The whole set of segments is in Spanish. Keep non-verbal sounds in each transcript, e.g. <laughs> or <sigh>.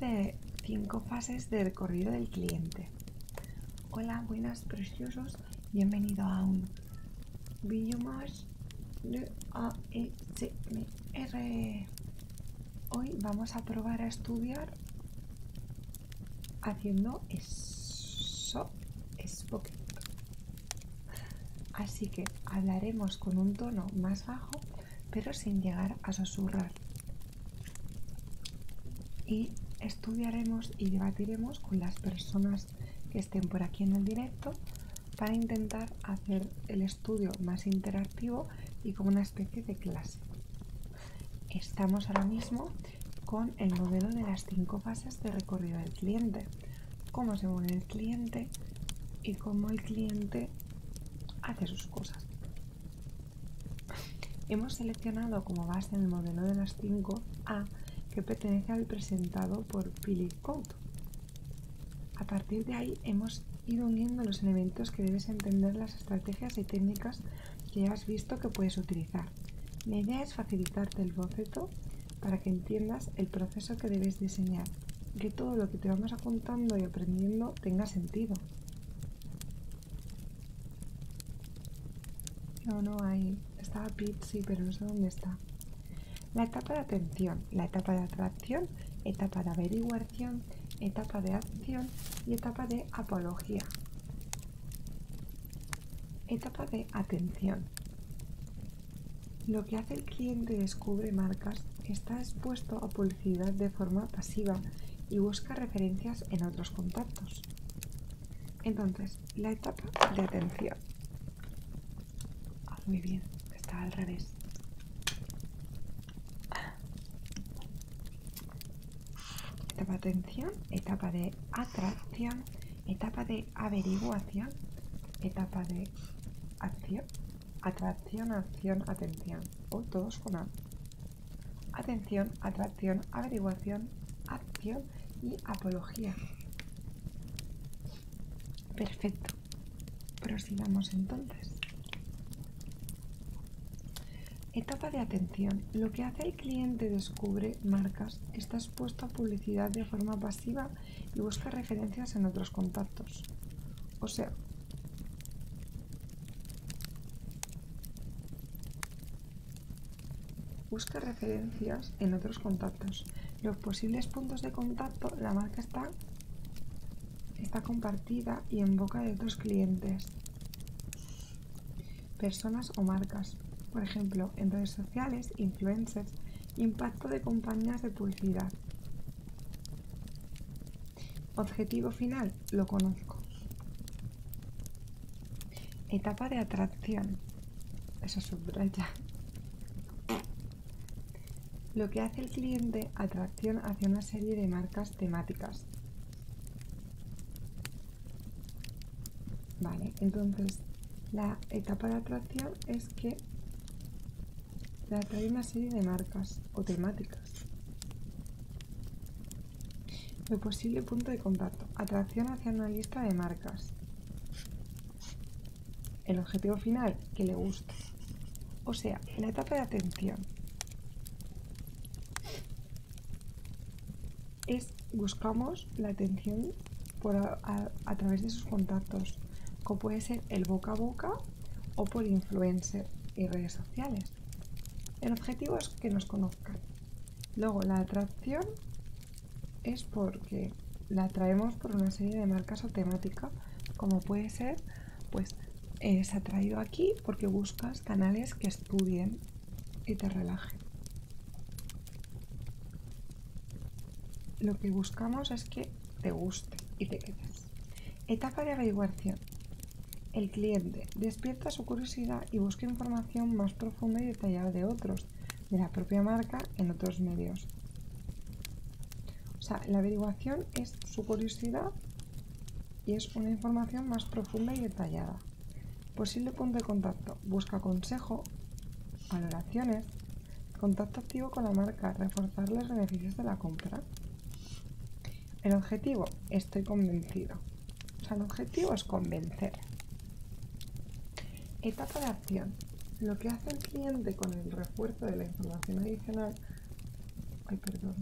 de cinco fases de recorrido del cliente. Hola, buenas, preciosos. Bienvenido a un vídeo más de e R. Hoy vamos a probar a estudiar haciendo eso, spoken. Así que hablaremos con un tono más bajo pero sin llegar a susurrar. Y estudiaremos y debatiremos con las personas que estén por aquí en el directo para intentar hacer el estudio más interactivo y como una especie de clase. Estamos ahora mismo con el modelo de las cinco fases de recorrido del cliente, cómo se mueve el cliente y cómo el cliente hace sus cosas. Hemos seleccionado como base el modelo de las 5A que pertenece al presentado por Philip Code. A partir de ahí hemos ido uniendo los elementos que debes entender las estrategias y técnicas que has visto que puedes utilizar. La idea es facilitarte el boceto para que entiendas el proceso que debes diseñar, que todo lo que te vamos apuntando y aprendiendo tenga sentido. No, no hay. Estaba Pete, sí, pero no sé dónde está. La etapa de atención, la etapa de atracción, etapa de averiguación, etapa de acción y etapa de apología. Etapa de atención. Lo que hace el cliente descubre marcas está expuesto a publicidad de forma pasiva y busca referencias en otros contactos. Entonces, la etapa de atención. Ah, muy bien, está al revés. Etapa de atención, etapa de atracción, etapa de averiguación, etapa de acción, atracción, acción, atención. O todos con A. Atención, atracción, averiguación, acción y apología. Perfecto. Prosigamos entonces. Etapa de atención. Lo que hace el cliente descubre marcas, está expuesto a publicidad de forma pasiva y busca referencias en otros contactos. O sea, Busca referencias en otros contactos. Los posibles puntos de contacto, la marca está, compartida y en boca de otros clientes, personas o marcas. Por ejemplo, en redes sociales, influencers, impacto de compañías de publicidad. Objetivo final, lo conozco. Etapa de atracción. Eso subraya. Lo que hace el cliente atracción hacia una serie de marcas temáticas. Vale, entonces la etapa de atracción es que la una serie de marcas o temáticas. El posible punto de contacto. Atracción hacia una lista de marcas. El objetivo final, que le guste. O sea, la etapa de atención es buscamos la atención a, través de sus contactos, como puede ser el boca a boca o por influencer y redes sociales. El objetivo es que nos conozcan. Luego, la atracción es porque la traemos por una serie de marcas o temática, como puede ser, pues es eh, atraído aquí porque buscas canales que estudien y te relajen. Lo que buscamos es que te guste y te quedes. Etapa de averiguación. El cliente despierta su curiosidad y busca información más profunda y detallada de otros, de la propia marca en otros medios. O sea, la averiguación es su curiosidad y es una información más profunda y detallada. Posible punto de contacto. Busca consejo, valoraciones, contacto activo con la marca, reforzar los beneficios de la compra. El objetivo, estoy convencido. O sea, el objetivo es convencer. Etapa de acción. Lo que hace el cliente con el refuerzo de la información adicional. Ay, perdón.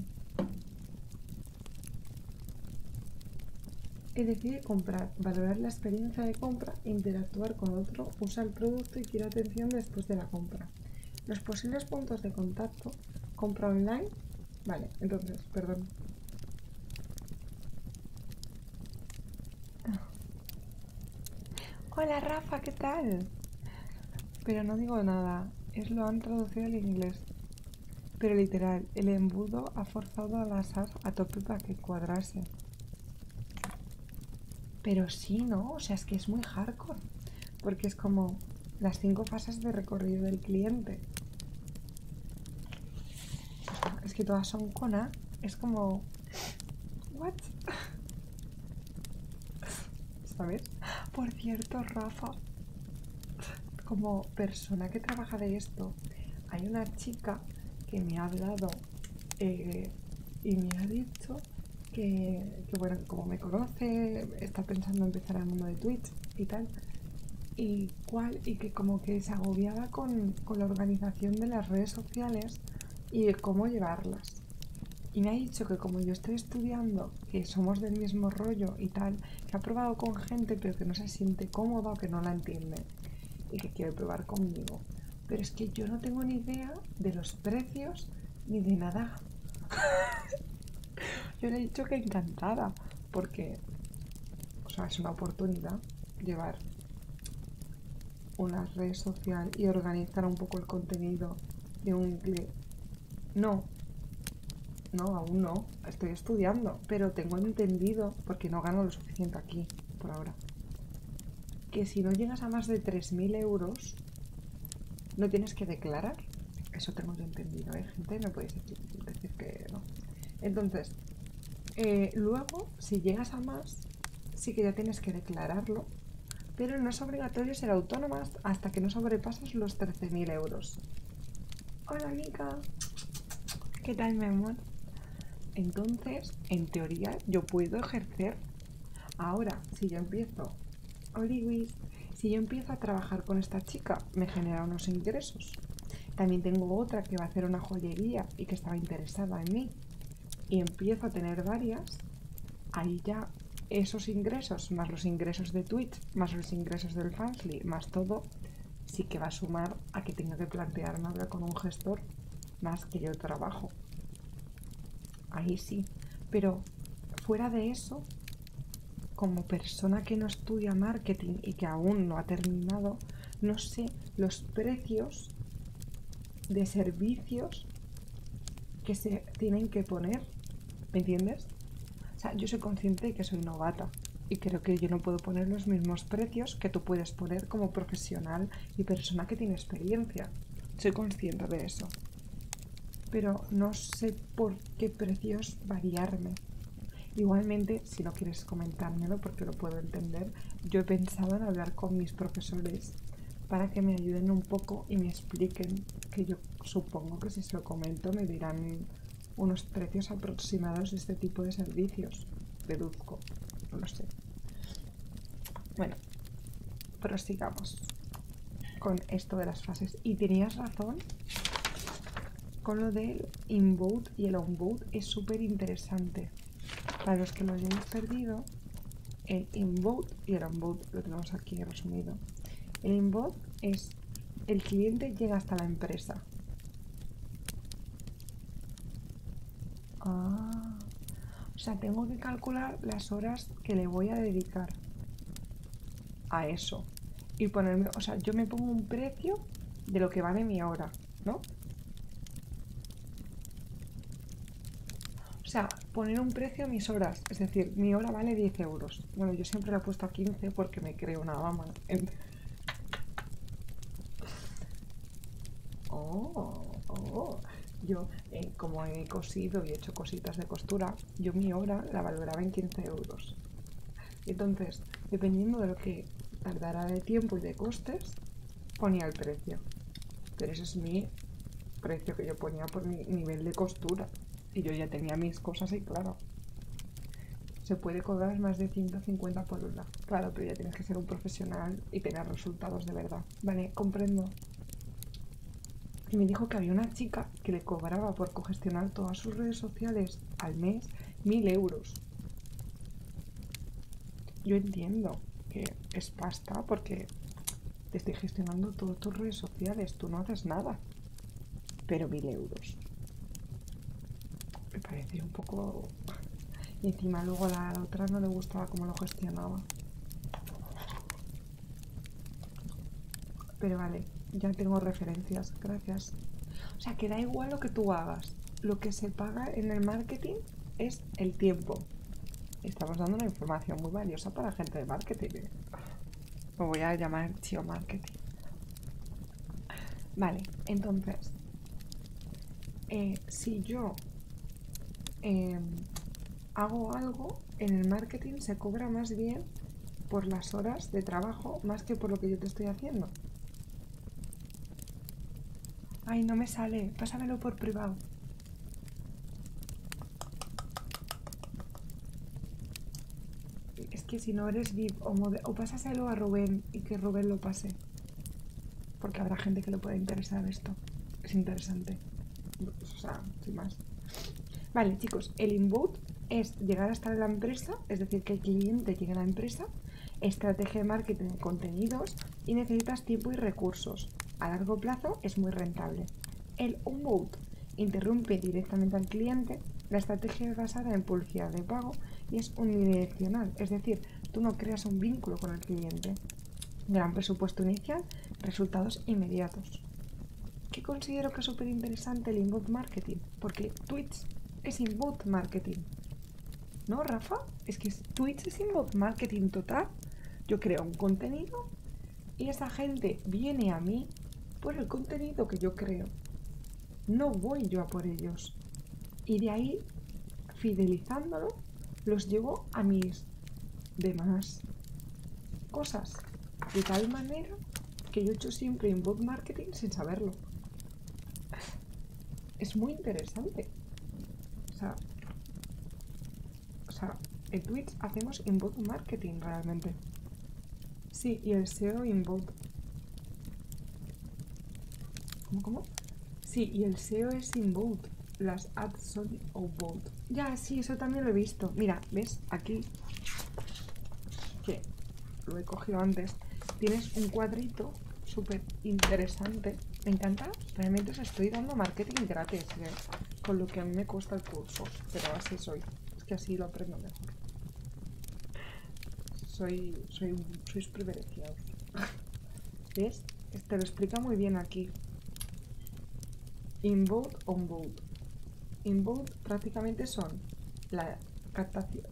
Y decide comprar, valorar la experiencia de compra, interactuar con otro, usa el producto y quiere atención después de la compra. Los posibles puntos de contacto Compra online. Vale, entonces, perdón. Hola Rafa, ¿qué tal? Pero no digo nada, es lo han traducido al inglés. Pero literal, el embudo ha forzado a la SAF a tope para que cuadrase. Pero sí, ¿no? O sea, es que es muy hardcore. Porque como las cinco fases de recorrido del cliente. Es que todas son cona Es como... ¿What? ¿Sabes? Por cierto, Rafa, como persona que trabaja de esto, hay una chica que me ha hablado eh, y me ha dicho que, bueno, como me conoce, está pensando empezar al mundo de Twitch y tal y, cuál y que como que se agobiaba con, con la organización de las redes sociales y de cómo llevarlas. Y me ha dicho que como yo estoy estudiando, que somos del mismo rollo y tal, que ha probado con gente pero que no se siente cómoda o que no la entiende y que quiere probar conmigo. Pero es que yo no tengo ni idea de los precios ni de nada. <laughs> Yo le he dicho que encantada, porque, o sea, es una oportunidad llevar una red social y organizar un poco el contenido de un clip. No, no, aún no, estoy estudiando, pero tengo entendido, porque no gano lo suficiente aquí por ahora, que si no llegas a más de 3.000 euros, no tienes que declarar eso tengo yo entendido, ¿eh, gente? no podéis decir, que no. Entonces, eh, luego, si llegas a más, sí que ya tienes que declararlo, pero no es obligatorio ser autónomas hasta que no sobrepasas los 13.000 euros. Hola, Mica. ¿Qué tal, mi amor? Entonces, en teoría, yo puedo ejercer. Ahora, si yo empiezo, Oliwis, si yo empiezo a trabajar con esta chica, me genera unos ingresos. También tengo otra que va a hacer una joyería y que estaba interesada en mí. Y empiezo a tener varias. Ahí ya esos ingresos, más los ingresos de Twitch, más los ingresos del Fansly, más todo, sí que va a sumar a que tengo que plantearme hablar con un gestor más que yo trabajo. Ahí sí. Pero fuera de eso, como persona que no estudia marketing y que aún no ha terminado, no sé los precios de servicios que se tienen que poner. ¿Me entiendes? O sea, yo soy consciente de que soy novata y creo que yo no puedo poner los mismos precios que tú puedes poner como profesional y persona que tiene experiencia. Soy consciente de eso. Pero no sé por qué precios variarme. Igualmente, si no quieres comentármelo porque lo puedo entender, yo he pensado en hablar con mis profesores para que me ayuden un poco y me expliquen, que yo supongo que si se lo comento me dirán unos precios aproximados de este tipo de servicios, deduzco, no lo sé. Bueno, prosigamos con esto de las fases. Y tenías razón con lo del inbound y el outbound es súper interesante. Para los que lo hayamos perdido, el inbound y el outbound lo tenemos aquí resumido. El inbound es el cliente llega hasta la empresa. Ah, o sea, tengo que calcular las horas que le voy a dedicar a eso. Y ponerme, o sea, yo me pongo un precio de lo que vale mi hora, ¿no? O sea, poner un precio a mis horas. Es decir, mi hora vale 10 euros. Bueno, yo siempre la he puesto a 15 porque me creo una dama. <laughs> Oh, oh. Yo, eh, como he cosido y he hecho cositas de costura, yo mi hora la valoraba en 15 euros. Entonces, dependiendo de lo que tardara de tiempo y de costes, ponía el precio. Pero ese es mi precio que yo ponía por mi nivel de costura. Y yo ya tenía mis cosas y claro, se puede cobrar más de 150 por una. Claro, pero ya tienes que ser un profesional y tener resultados de verdad. Vale, comprendo. Y me dijo que había una chica que le cobraba por cogestionar todas sus redes sociales al mes Mil euros. Yo entiendo que es pasta porque te estoy gestionando todas tus redes sociales, tú no haces nada. Pero mil euros. Me parece un poco... Y encima luego a la otra no le gustaba cómo lo gestionaba. Pero vale, ya tengo referencias, gracias. O sea, que da igual lo que tú hagas. Lo que se paga en el marketing es el tiempo. Estamos dando una información muy valiosa para gente de marketing. ¿eh? Lo voy a llamar tío marketing. Vale, entonces, eh, si yo em, hago algo, en el marketing se cobra más bien por las horas de trabajo más que por lo que yo te estoy haciendo. Ay, no me sale. Pásamelo por privado. Es que si no eres VIP o, o pásaselo a Rubén y que Rubén lo pase. Porque habrá gente que lo pueda interesar esto. Es interesante. O sea, sin más. Vale, chicos, el inboot es llegar hasta la empresa, es decir, que el cliente llegue a la empresa, estrategia de marketing, de contenidos y necesitas tiempo y recursos. A largo plazo es muy rentable. El onboard interrumpe directamente al cliente, la estrategia es basada en publicidad de pago y es unidireccional, es decir, tú no creas un vínculo con el cliente. Gran presupuesto inicial, resultados inmediatos. ¿Qué considero que es súper interesante el inbound marketing? Porque Twitch es inbound marketing. ¿No, Rafa? Es que Twitch es inbound marketing total. Yo creo un contenido y esa gente viene a mí por el contenido que yo creo. No voy yo a por ellos. Y de ahí, fidelizándolo, los llevo a mis demás cosas. De tal manera que yo he hecho siempre inbound marketing sin saberlo es muy interesante. O sea, o sea, en Twitch hacemos inbound marketing realmente. Sí, y el SEO inbound. ¿Cómo, cómo? Sí, y el SEO es inbound. Las ads son outbound. Ya, sí, eso también lo he visto. Mira, ¿ves? Aquí que lo he cogido antes, tienes un cuadrito súper interesante. Me encanta, realmente os estoy dando marketing gratis, ¿eh? con lo que a mí me cuesta el curso, pero así soy, es que así lo aprendo mejor. Soy, soy, sois privilegiados. <laughs> ¿Ves? Te lo explica muy bien aquí. Inbound, onboard. Inbound prácticamente son la,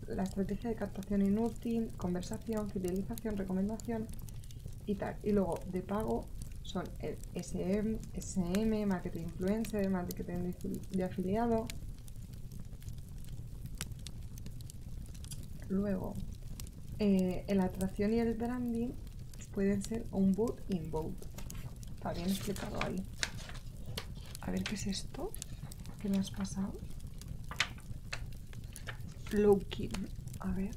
la estrategia de captación inútil, conversación, fidelización, recomendación y tal. Y luego de pago son el SM, SM marketing influencer, marketing de afiliado. Luego, el eh, la atracción y el branding pueden ser un boot inbound. Está bien explicado ahí. A ver qué es esto. ¿Qué me has pasado? Flowking. A ver.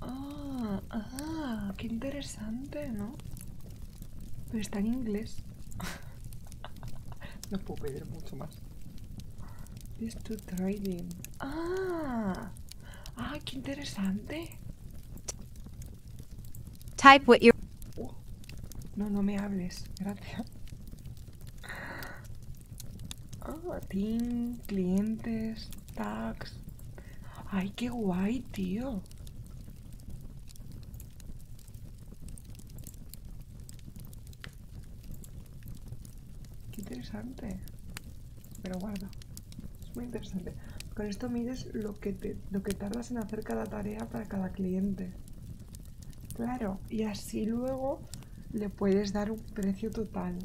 Ah, ah, qué interesante, ¿no? Pero está en inglés. <laughs> no puedo pedir mucho más. This to trading. Ah, ah, qué interesante. Type what you No, no me hables. Gracias. Oh, ah, team, clientes, tags. Ay, qué guay, tío. Qué interesante. Pero bueno, Es muy interesante. Con esto mides lo que, lo que tardas en hacer cada tarea para cada cliente. Claro, y así luego le puedes dar un precio total.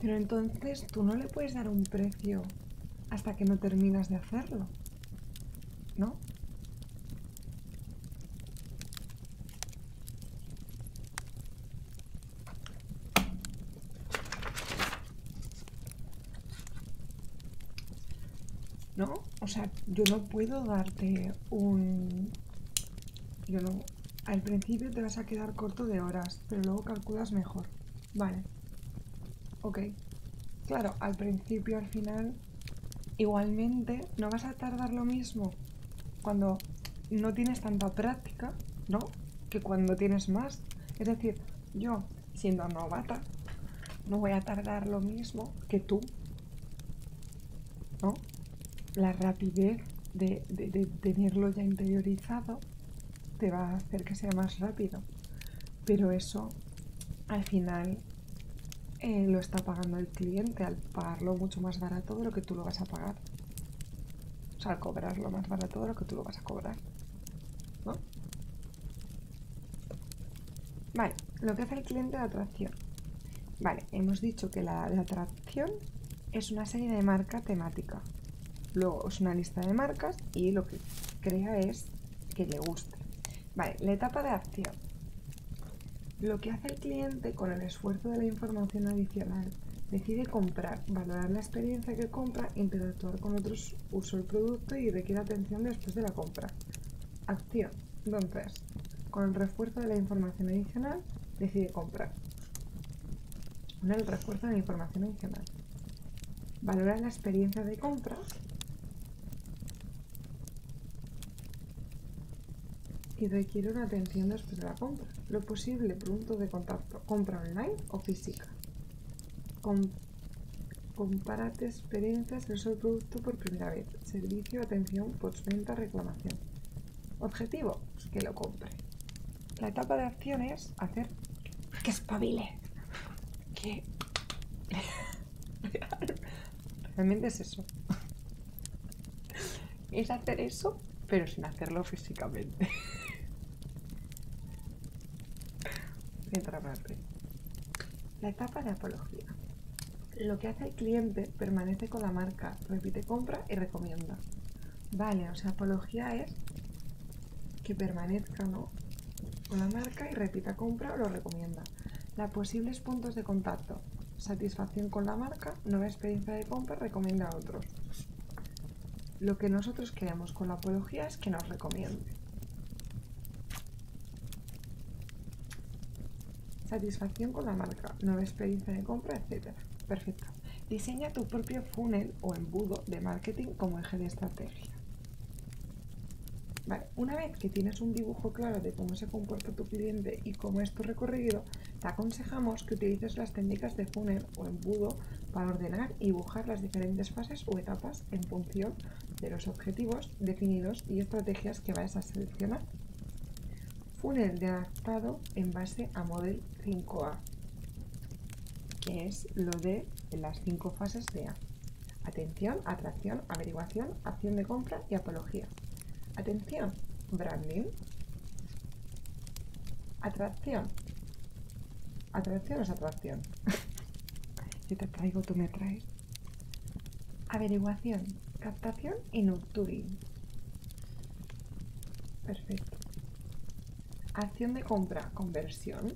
Pero entonces tú no le puedes dar un precio hasta que no terminas de hacerlo. ¿No? ¿No? O sea, yo no puedo darte un... Yo no... Al principio te vas a quedar corto de horas, pero luego calculas mejor. Vale. Ok. Claro, al principio, al final, igualmente no vas a tardar lo mismo cuando no tienes tanta práctica, ¿no? Que cuando tienes más. Es decir, yo siendo novata, no voy a tardar lo mismo que tú, La rapidez de, tenerlo ya interiorizado te va a hacer que sea más rápido, pero eso al final eh, lo está pagando el cliente al pagarlo mucho más barato de lo que tú lo vas a pagar. O sea, al cobrarlo más barato de lo que tú lo vas a cobrar. ¿no? Vale, lo que hace el cliente de atracción. Vale, hemos dicho que la atracción es una serie de marca temática. Luego es una lista de marcas y lo que crea es que le guste. Vale, la etapa de acción. Lo que hace el cliente con el esfuerzo de la información adicional, decide comprar, valorar la experiencia que compra, interactuar con otros uso el producto y requiere atención después de la compra. Acción. Entonces, Con el refuerzo de la información adicional, decide comprar. Con el refuerzo de la información adicional. Valora la experiencia de compra y requiere una atención después de la compra. Lo posible, punto de contacto, compra online o física. Compárate experiencias su producto por primera vez, servicio, atención, postventa, reclamación. Objetivo, pues, que lo compre. La etapa de acción es hacer que espabile. Que... <laughs> Realmente es eso. Es hacer eso, pero sin hacerlo físicamente. Entra <laughs> parte. La etapa de apología. Lo que hace el cliente permanece con la marca, repite compra y recomienda. Vale, o sea, apología es que permanezca ¿no? con la marca y repita compra o lo recomienda. La posibles puntos de contacto. Satisfacción con la marca, nueva experiencia de compra, recomienda a otros. Lo que nosotros queremos con la apología es que nos recomiende. Satisfacción con la marca, nueva experiencia de compra, etc. Perfecto. Diseña tu propio funnel o embudo de marketing como eje de estrategia. una vez que tienes un dibujo claro de cómo se comporta tu cliente y cómo es tu recorrido, te aconsejamos que utilices las técnicas de funnel o embudo para ordenar y dibujar las diferentes fases o etapas en función de los objetivos definidos y estrategias que vais a seleccionar. Funnel de adaptado en base a Model 5A, que es lo de las cinco fases de A. Atención, atracción, averiguación, acción de compra y apología. Atención, branding. Atracción. Atracción es atracción. <laughs> Yo te traigo, tú me traes. Averiguación, captación y nocturing. Perfecto. Acción de compra, conversión.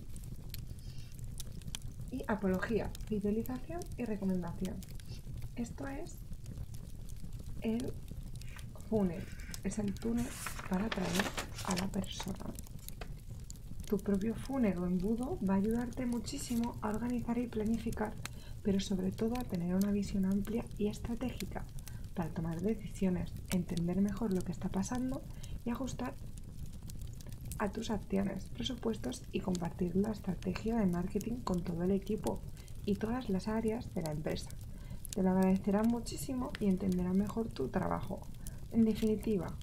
Y apología, fidelización y recomendación. Esto es el túnel. Es el túnel para TRAER a la persona. Tu propio o embudo va a ayudarte muchísimo a organizar y planificar, pero sobre todo a tener una visión amplia y estratégica para tomar decisiones, entender mejor lo que está pasando y ajustar a tus acciones, presupuestos y compartir la estrategia de marketing con todo el equipo y todas las áreas de la empresa. Te lo agradecerán muchísimo y entenderá mejor tu trabajo. En definitiva,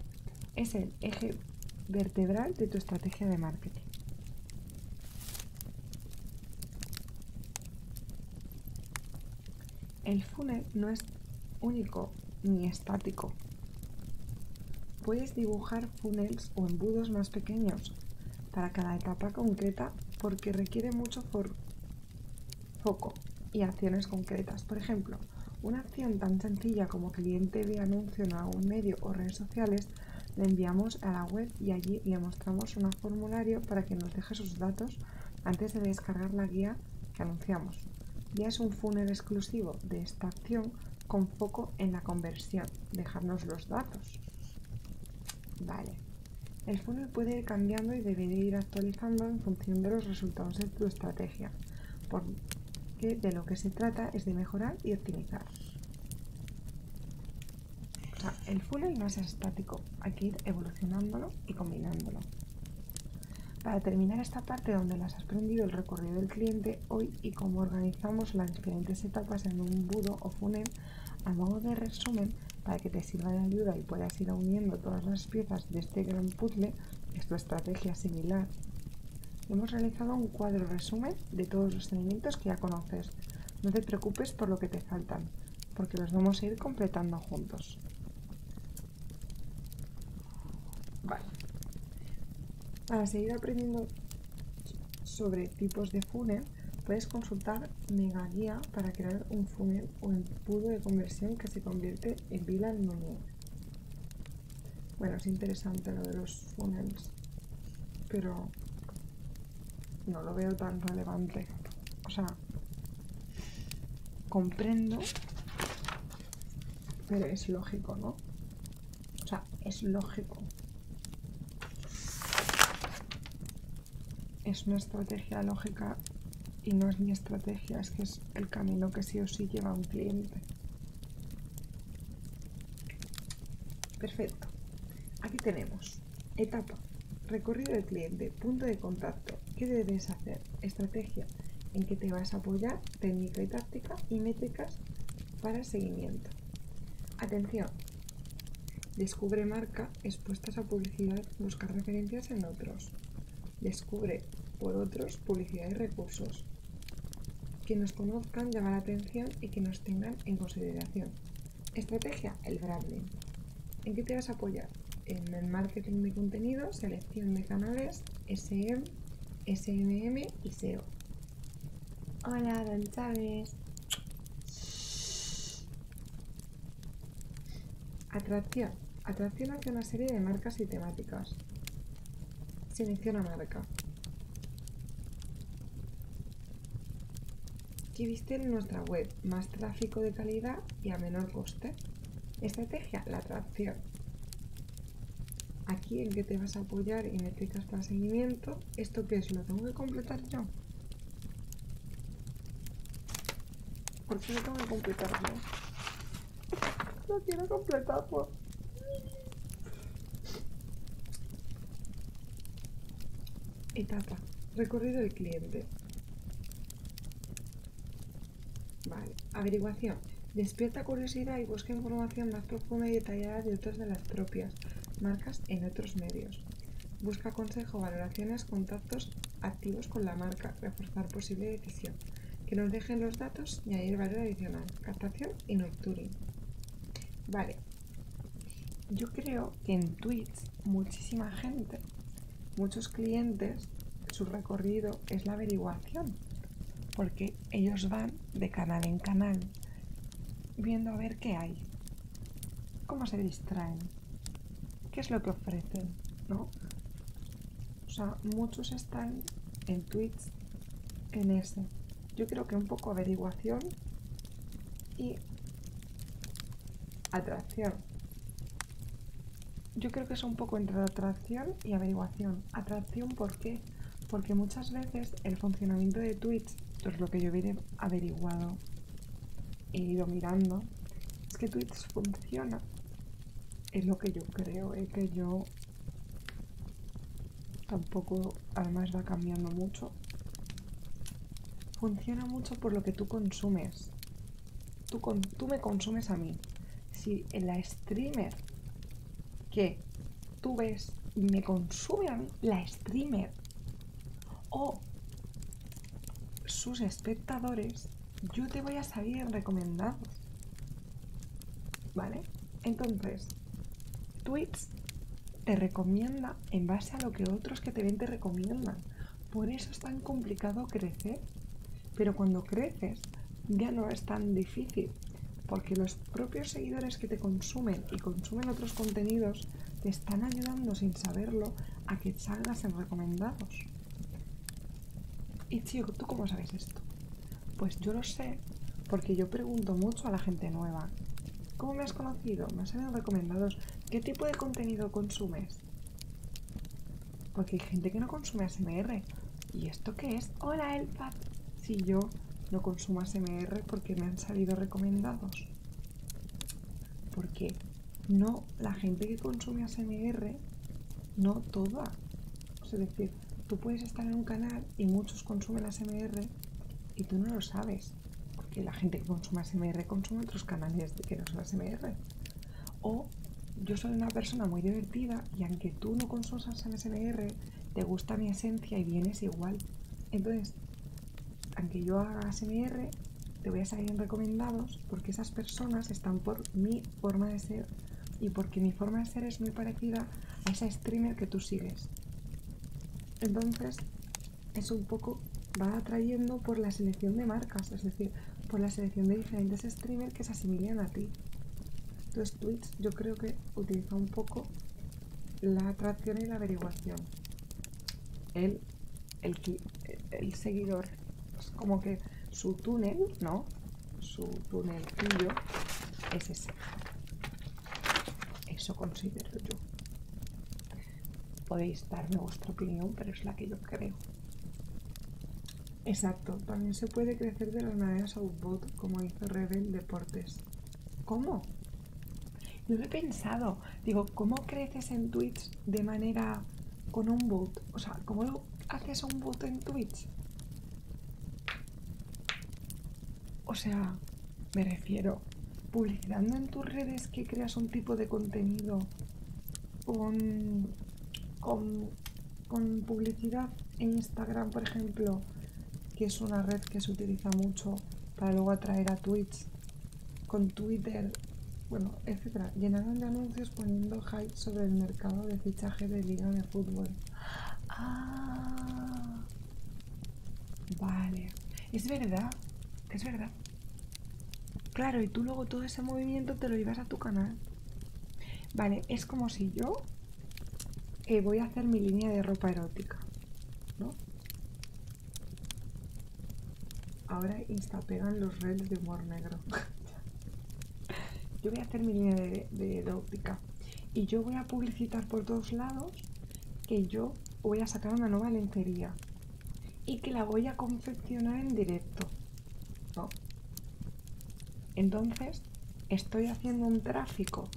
es el eje vertebral de tu estrategia de marketing. El funnel no es único ni estático. Puedes dibujar funnels o embudos más pequeños para cada etapa concreta porque requiere mucho foco y acciones concretas. Por ejemplo, una acción tan sencilla como cliente de anuncio en algún medio o redes sociales, le enviamos a la web y allí le mostramos un formulario para que nos deje sus datos antes de descargar la guía que anunciamos. Ya es un funnel exclusivo de esta acción con foco en la conversión, dejarnos los datos. Vale. El funnel puede ir cambiando y debe ir actualizando en función de los resultados de tu estrategia que de lo que se trata es de mejorar y optimizar. el funnel no es estático, hay que ir evolucionándolo y combinándolo. Para terminar esta parte donde las has aprendido el recorrido del cliente hoy y cómo organizamos las diferentes etapas en un budo o funnel, a modo de resumen, para que te sirva de ayuda y puedas ir uniendo todas las piezas de este gran puzzle, es tu estrategia similar Hemos realizado un cuadro resumen de todos los elementos que ya conoces. No te preocupes por lo que te faltan, porque los vamos a ir completando juntos. Para seguir aprendiendo sobre tipos de funer, puedes consultar Mega Guía para crear un funer o un pudo de conversión que se convierte en Vilan bueno, es interesante lo de los funnels, pero no lo veo tan relevante. O sea, comprendo, pero es lógico, ¿no? O sea, es lógico. Es una estrategia lógica y no es mi estrategia, es que es el camino que sí o sí lleva un cliente. Perfecto. Aquí tenemos. Etapa. Recorrido del cliente. Punto de contacto. ¿Qué debes hacer? Estrategia. En que te vas a apoyar. Técnica y táctica. Y métricas para seguimiento. Atención. Descubre marca expuestas a publicidad. Buscar referencias en otros. Descubre por otros publicidad y recursos que nos conozcan, llamar la atención y que nos tengan en consideración. Estrategia, el branding. ¿En qué te vas a apoyar? En el marketing de contenido, selección de canales, SM, SMM y SEO. Hola, Don Chávez. Atracción. Atracción hacia una serie de marcas y temáticas. Selecciona marca. ¿Qué viste en nuestra web más tráfico de calidad y a menor coste, estrategia, la atracción. Aquí en que te vas a apoyar y métricas para seguimiento, ¿esto qué es? ¿Lo tengo que completar yo? ¿Por qué tengo que completar yo? Lo quiero Etapa. Recorrido del cliente. Vale. Averiguación. Despierta curiosidad y busca información más profunda y detallada de otras de las propias marcas en otros medios. Busca consejo, valoraciones, contactos activos con la marca, reforzar posible decisión. Que nos dejen los datos y añadir valor adicional. Captación y no Vale, yo creo que en Twitch muchísima gente, muchos clientes, su recorrido es la averiguación, porque ellos van de canal en canal viendo a ver qué hay, cómo se distraen, qué es lo que ofrecen, ¿no? O sea, muchos están en Twitch en ese. Yo creo que un poco averiguación y atracción. Yo creo que es un poco entre atracción y averiguación. Atracción, ¿por qué? Porque muchas veces el funcionamiento de Twitch, es lo que yo he averiguado he ido mirando, es que Twitch funciona, es lo que yo creo, es eh, que yo Tampoco, además va cambiando mucho. Funciona mucho por lo que tú consumes. Tú, con, tú me consumes a mí. Si en la streamer que tú ves y me consume a mí, la streamer o sus espectadores, yo te voy a salir recomendados. ¿Vale? Entonces, Twitch te recomienda en base a lo que otros que te ven te recomiendan. Por eso es tan complicado crecer. Pero cuando creces ya no es tan difícil. Porque los propios seguidores que te consumen y consumen otros contenidos te están ayudando sin saberlo a que salgas en recomendados. Y tío, ¿tú cómo sabes esto? Pues yo lo sé, porque yo pregunto mucho a la gente nueva. ¿Cómo me has conocido? ¿Me has salido recomendados? ¿Qué tipo de contenido consumes? Porque hay gente que no consume ASMR. ¿Y esto qué es? Hola, Elfad! Si yo no consumo ASMR porque me han salido recomendados. Porque no, la gente que consume ASMR, no toda tú puedes estar en un canal y muchos consumen SMR y tú no lo sabes, porque la gente que consume SMR consume otros canales que no son ASMR. O yo soy una persona muy divertida y aunque tú no consumas SMR te gusta mi esencia y vienes igual. Entonces, aunque yo haga SMR te voy a salir en recomendados porque esas personas están por mi forma de ser y porque mi forma de ser es muy parecida a esa streamer que tú sigues. Entonces, eso un poco va atrayendo por la selección de marcas, es decir, por la selección de diferentes streamers que se asimilan a ti. Entonces, Twitch yo creo que utiliza un poco la atracción y la averiguación. El, el, seguidor pues como que su túnel, ¿no? Su tuyo es ese. Eso considero yo. Podéis darme vuestra opinión, pero es la que yo creo. Exacto, también se puede crecer de las maneras bot, como hizo Rebel Deportes. ¿Cómo? No lo he pensado. Digo, ¿cómo creces en Twitch de manera con un bot? O sea, ¿cómo haces un bot en Twitch? O sea, me refiero, publicidad en tus redes que creas un tipo de contenido con, publicidad en Instagram, por ejemplo, que es una red que se utiliza mucho para luego atraer a Twitch, con Twitter, bueno, etcétera, Llenando de anuncios poniendo hype sobre el mercado de fichaje de liga de fútbol. Ah. Vale. Es verdad. Es verdad. Claro, y tú luego todo ese movimiento te lo llevas a tu canal. Vale, es como si yo eh, voy a hacer mi línea de ropa erótica. ¿No? Ahora instapegan los reels de humor negro. <laughs> yo voy a hacer mi línea de erótica. Y yo voy a publicitar por todos lados que yo voy a sacar una nueva lencería y que la voy a confeccionar en directo. Entonces, estoy haciendo un tráfico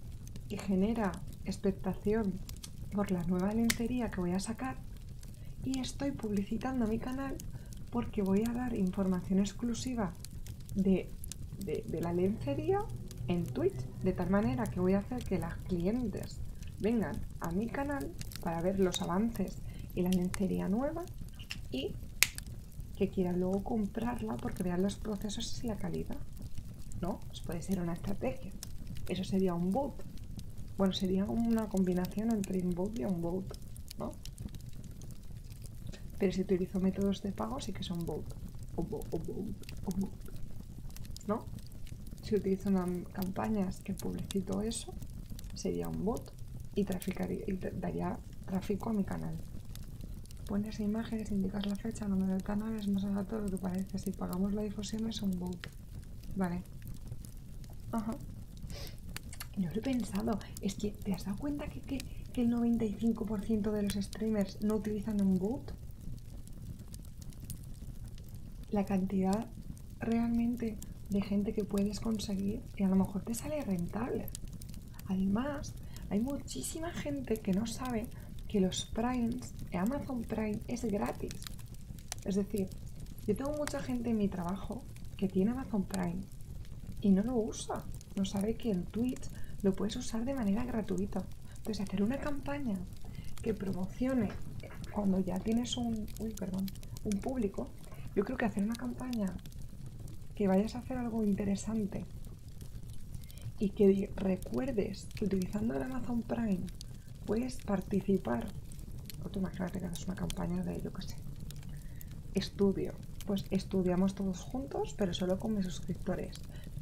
que genera expectación por la nueva lencería que voy a sacar y estoy publicitando mi canal porque voy a dar información exclusiva de la lencería en Twitch, de tal manera que voy a hacer que las clientes vengan a mi canal para ver los avances y la lencería nueva y que quieran luego comprarla porque vean los procesos y la calidad. ¿No? Pues puede ser una estrategia. Eso sería un bot. Bueno, sería una combinación entre un bot y un bot, ¿no? Pero si utilizo métodos de pago sí que son bot. bot. ¿no? Si utilizo una, campañas que publicito eso, sería un bot y, traficaría, daría tráfico a mi canal. Pones imágenes, indicas la fecha, número del canal, es más menos todo lo que parece. Si pagamos la difusión es un bot. Vale. Ajá. No lo he pensado. Es que, ¿te has dado cuenta que, que el 95% de los streamers no utilizan un bot? la cantidad realmente de gente que puedes conseguir y a lo mejor te sale rentable. Además, hay muchísima gente que no sabe que los Primes, Amazon Prime es gratis. Es decir, yo tengo mucha gente en mi trabajo que tiene Amazon Prime y no lo usa. No sabe que el Twitch lo puedes usar de manera gratuita. Entonces, hacer una campaña que promocione cuando ya tienes un, público, yo creo que hacer una campaña que vayas a hacer algo interesante y que recuerdes que utilizando el Amazon Prime puedes participar. O tú imagínate que haces una campaña de, yo qué sé, estudio. Pues estudiamos todos juntos, pero solo con mis suscriptores.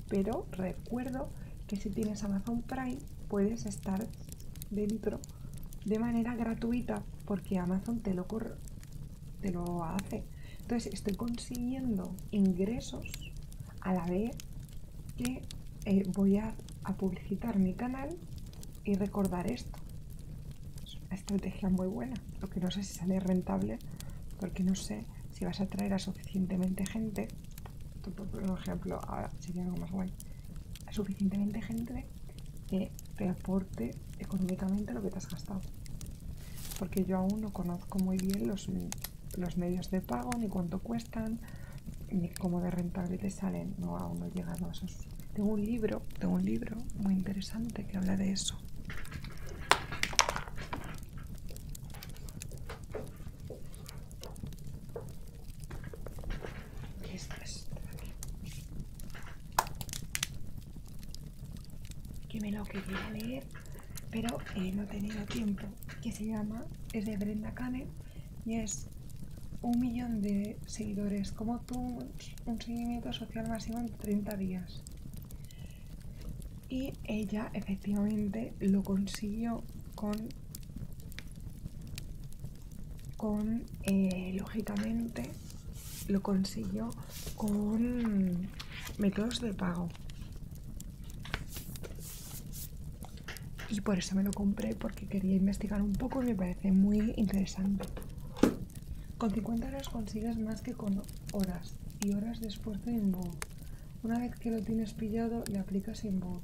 Pero recuerdo que si tienes Amazon Prime puedes estar dentro de manera gratuita porque Amazon te lo, te lo hace. Entonces estoy consiguiendo ingresos a la vez que eh, voy a, publicitar mi canal y recordar esto. Es una estrategia muy buena, lo no sé si sale rentable porque no sé si vas a traer a suficientemente gente por ejemplo, ahora sería algo más guay. Suficientemente gente que te aporte económicamente lo que te has gastado. Porque yo aún no conozco muy bien los, medios de pago, ni cuánto cuestan, ni cómo de rentable te salen. No, aún no he llegado a esos. Tengo un libro, tengo un libro muy interesante que habla de eso. ¿Qué estrés Que me lo quería leer, pero eh, no he tenido tiempo. Que se llama, es de Brenda Cane y es un millón de seguidores como tú, un seguimiento social máximo en 30 días. Y ella efectivamente lo consiguió con, con eh, lógicamente, lo consiguió con métodos de pago. Y por eso me lo compré, porque quería investigar un poco y me parece muy interesante. Con 50 horas consigues más que con horas y horas de esfuerzo no. Una vez que lo tienes pillado, le aplicas bot.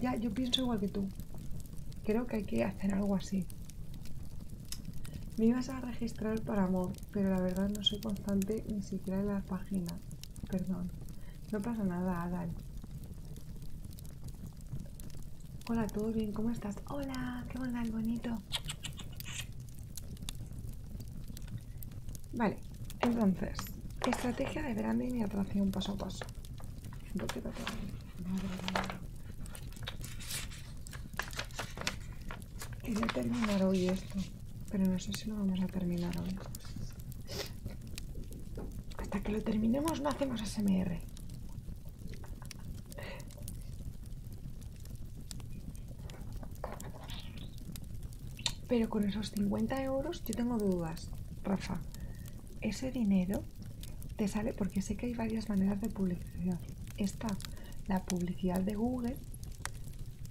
Ya, yo pienso igual que tú. Creo que hay que hacer algo así. Me ibas a registrar para amor, pero la verdad no soy constante ni siquiera en la página. Perdón. No pasa nada, Adal. Hola, ¿todo bien? ¿Cómo estás? Hola, qué bonito. Vale, entonces, estrategia de branding y atracción paso a paso. Quería terminar hoy esto, pero no sé si lo vamos a terminar hoy. Hasta que lo terminemos no hacemos SMR. Pero con esos 50 euros yo tengo dudas, Rafa. Ese dinero te sale porque sé que hay varias maneras de publicidad. Está la publicidad de Google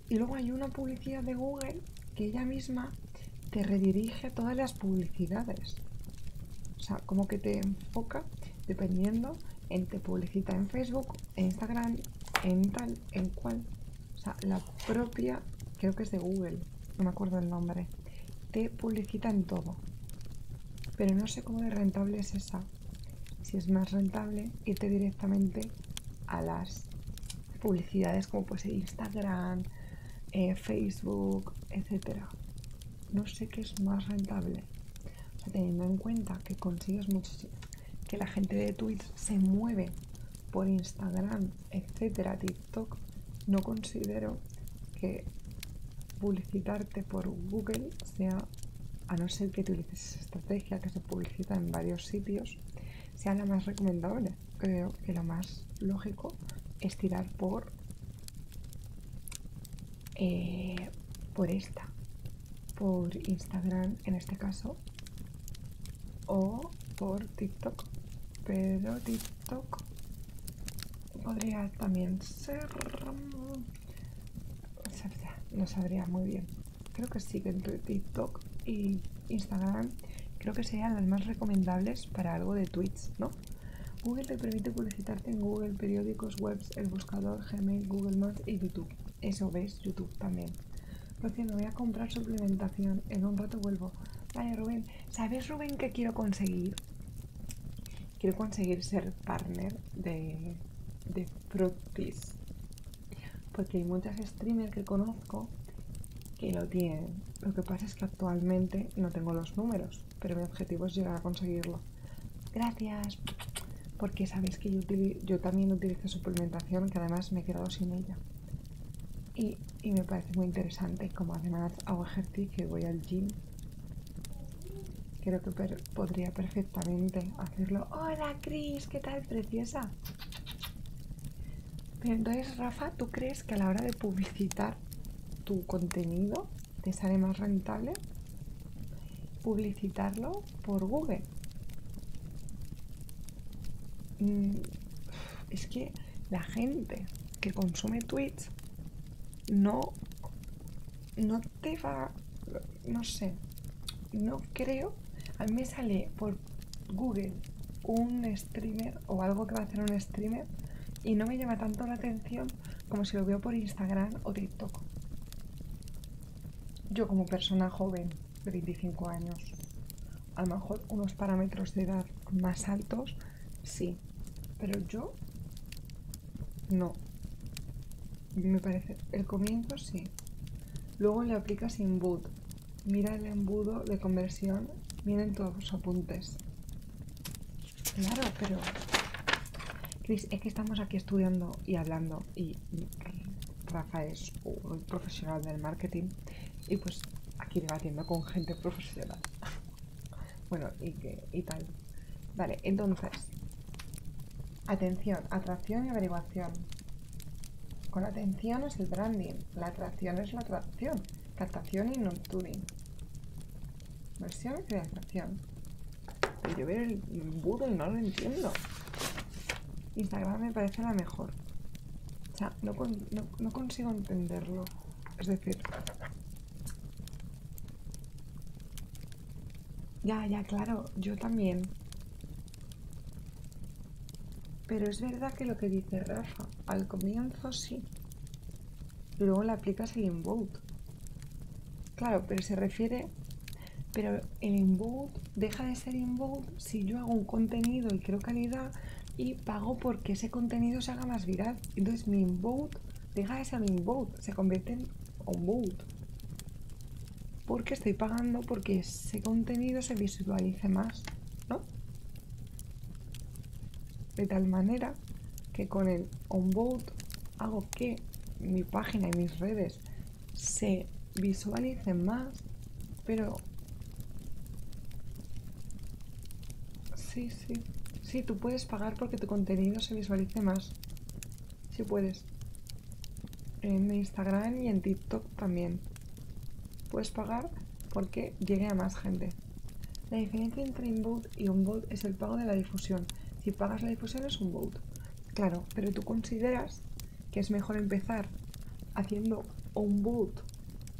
y luego hay una publicidad de Google que ella misma te redirige a todas las publicidades. O sea, como que te enfoca dependiendo en te publicita en Facebook, en Instagram, en tal en cual O sea, la propia, creo que es de Google, no me acuerdo el nombre, te publicita en todo. Pero no sé cómo de rentable es esa. Si es más rentable irte directamente a las publicidades como pues Instagram, eh, Facebook, etcétera. No sé qué es más rentable. teniendo en cuenta que consigues muchísimo, que la gente de Twitch se mueve por Instagram, etcétera, TikTok, no considero que publicitarte por Google sea, a no ser que utilices esa estrategia que se publicita en varios sitios, sea la más recomendable. Creo que lo más lógico es tirar por, eh, por esta, por Instagram en este caso, o por TikTok. Pero TikTok podría también ser... Mm, no sabría muy bien. Creo que sí, que entre TikTok y Instagram creo que serían las más recomendables para algo de tweets, ¿no? Google te permite publicitarte en Google, periódicos, webs, el buscador, Gmail, Google Maps y YouTube. Eso ves, YouTube también. Porque me voy a comprar suplementación. En un rato vuelvo. Vale, Rubén. ¿Sabes, Rubén, que quiero conseguir? Quiero conseguir ser partner de, de Porque hay muchas streamers que conozco que lo tienen. Lo que pasa es que actualmente no tengo los números, pero mi objetivo es llegar a conseguirlo. Gracias. Porque sabéis que yo, yo también utilizo suplementación, que además me he quedado sin ella y, me parece muy interesante como además hago ejercicio y voy al gym creo que podría perfectamente hacerlo hola Cris qué tal preciosa pero entonces Rafa tú crees que a la hora de publicitar tu contenido te sale más rentable publicitarlo por Google Mm, es que la gente que consume Twitch no, te va, no sé, no creo, a mí me sale por Google un streamer o algo que va a hacer un streamer y no me llama tanto la atención como si lo veo por Instagram o TikTok. Yo como persona joven de 25 años a lo mejor unos parámetros de edad más altos, sí, pero yo no. Me parece, el comienzo sí. Luego le aplicas inboot. Mira el embudo de conversión, miren todos los apuntes. Claro, pero Cris, es que estamos aquí estudiando y hablando y Rafa es un profesional del marketing y pues aquí debatiendo con gente profesional. <laughs> bueno, y, que, y tal. Vale, entonces, atención, atracción y averiguación. Con atención es el branding, la atracción es la atracción, captación y nurturing. Versión y atracción Y yo veo el Google, no lo entiendo. Instagram me parece la mejor. O no, consigo entenderlo. Es decir... Ya, ya, claro, yo también. Pero es verdad que lo que dice Rafa, al comienzo sí. Luego le aplicas el invoke. Claro, pero se refiere... Pero el invoke deja de ser invoke si yo hago un contenido y creo calidad y pago porque ese contenido se haga más viral. Entonces mi inbound deja ese se convierte en vote Porque estoy pagando porque ese contenido se visualice más, ¿no? De tal manera que con el vote hago que mi página y mis redes se visualicen más, pero Sí, sí. Sí, tú puedes pagar porque tu contenido se visualice más. Sí puedes. En Instagram y en TikTok también. Puedes pagar porque llegue a más gente. La diferencia entre inbound y bot es el pago de la difusión. Si pagas la difusión es un Claro, pero tú consideras que es mejor empezar haciendo un boot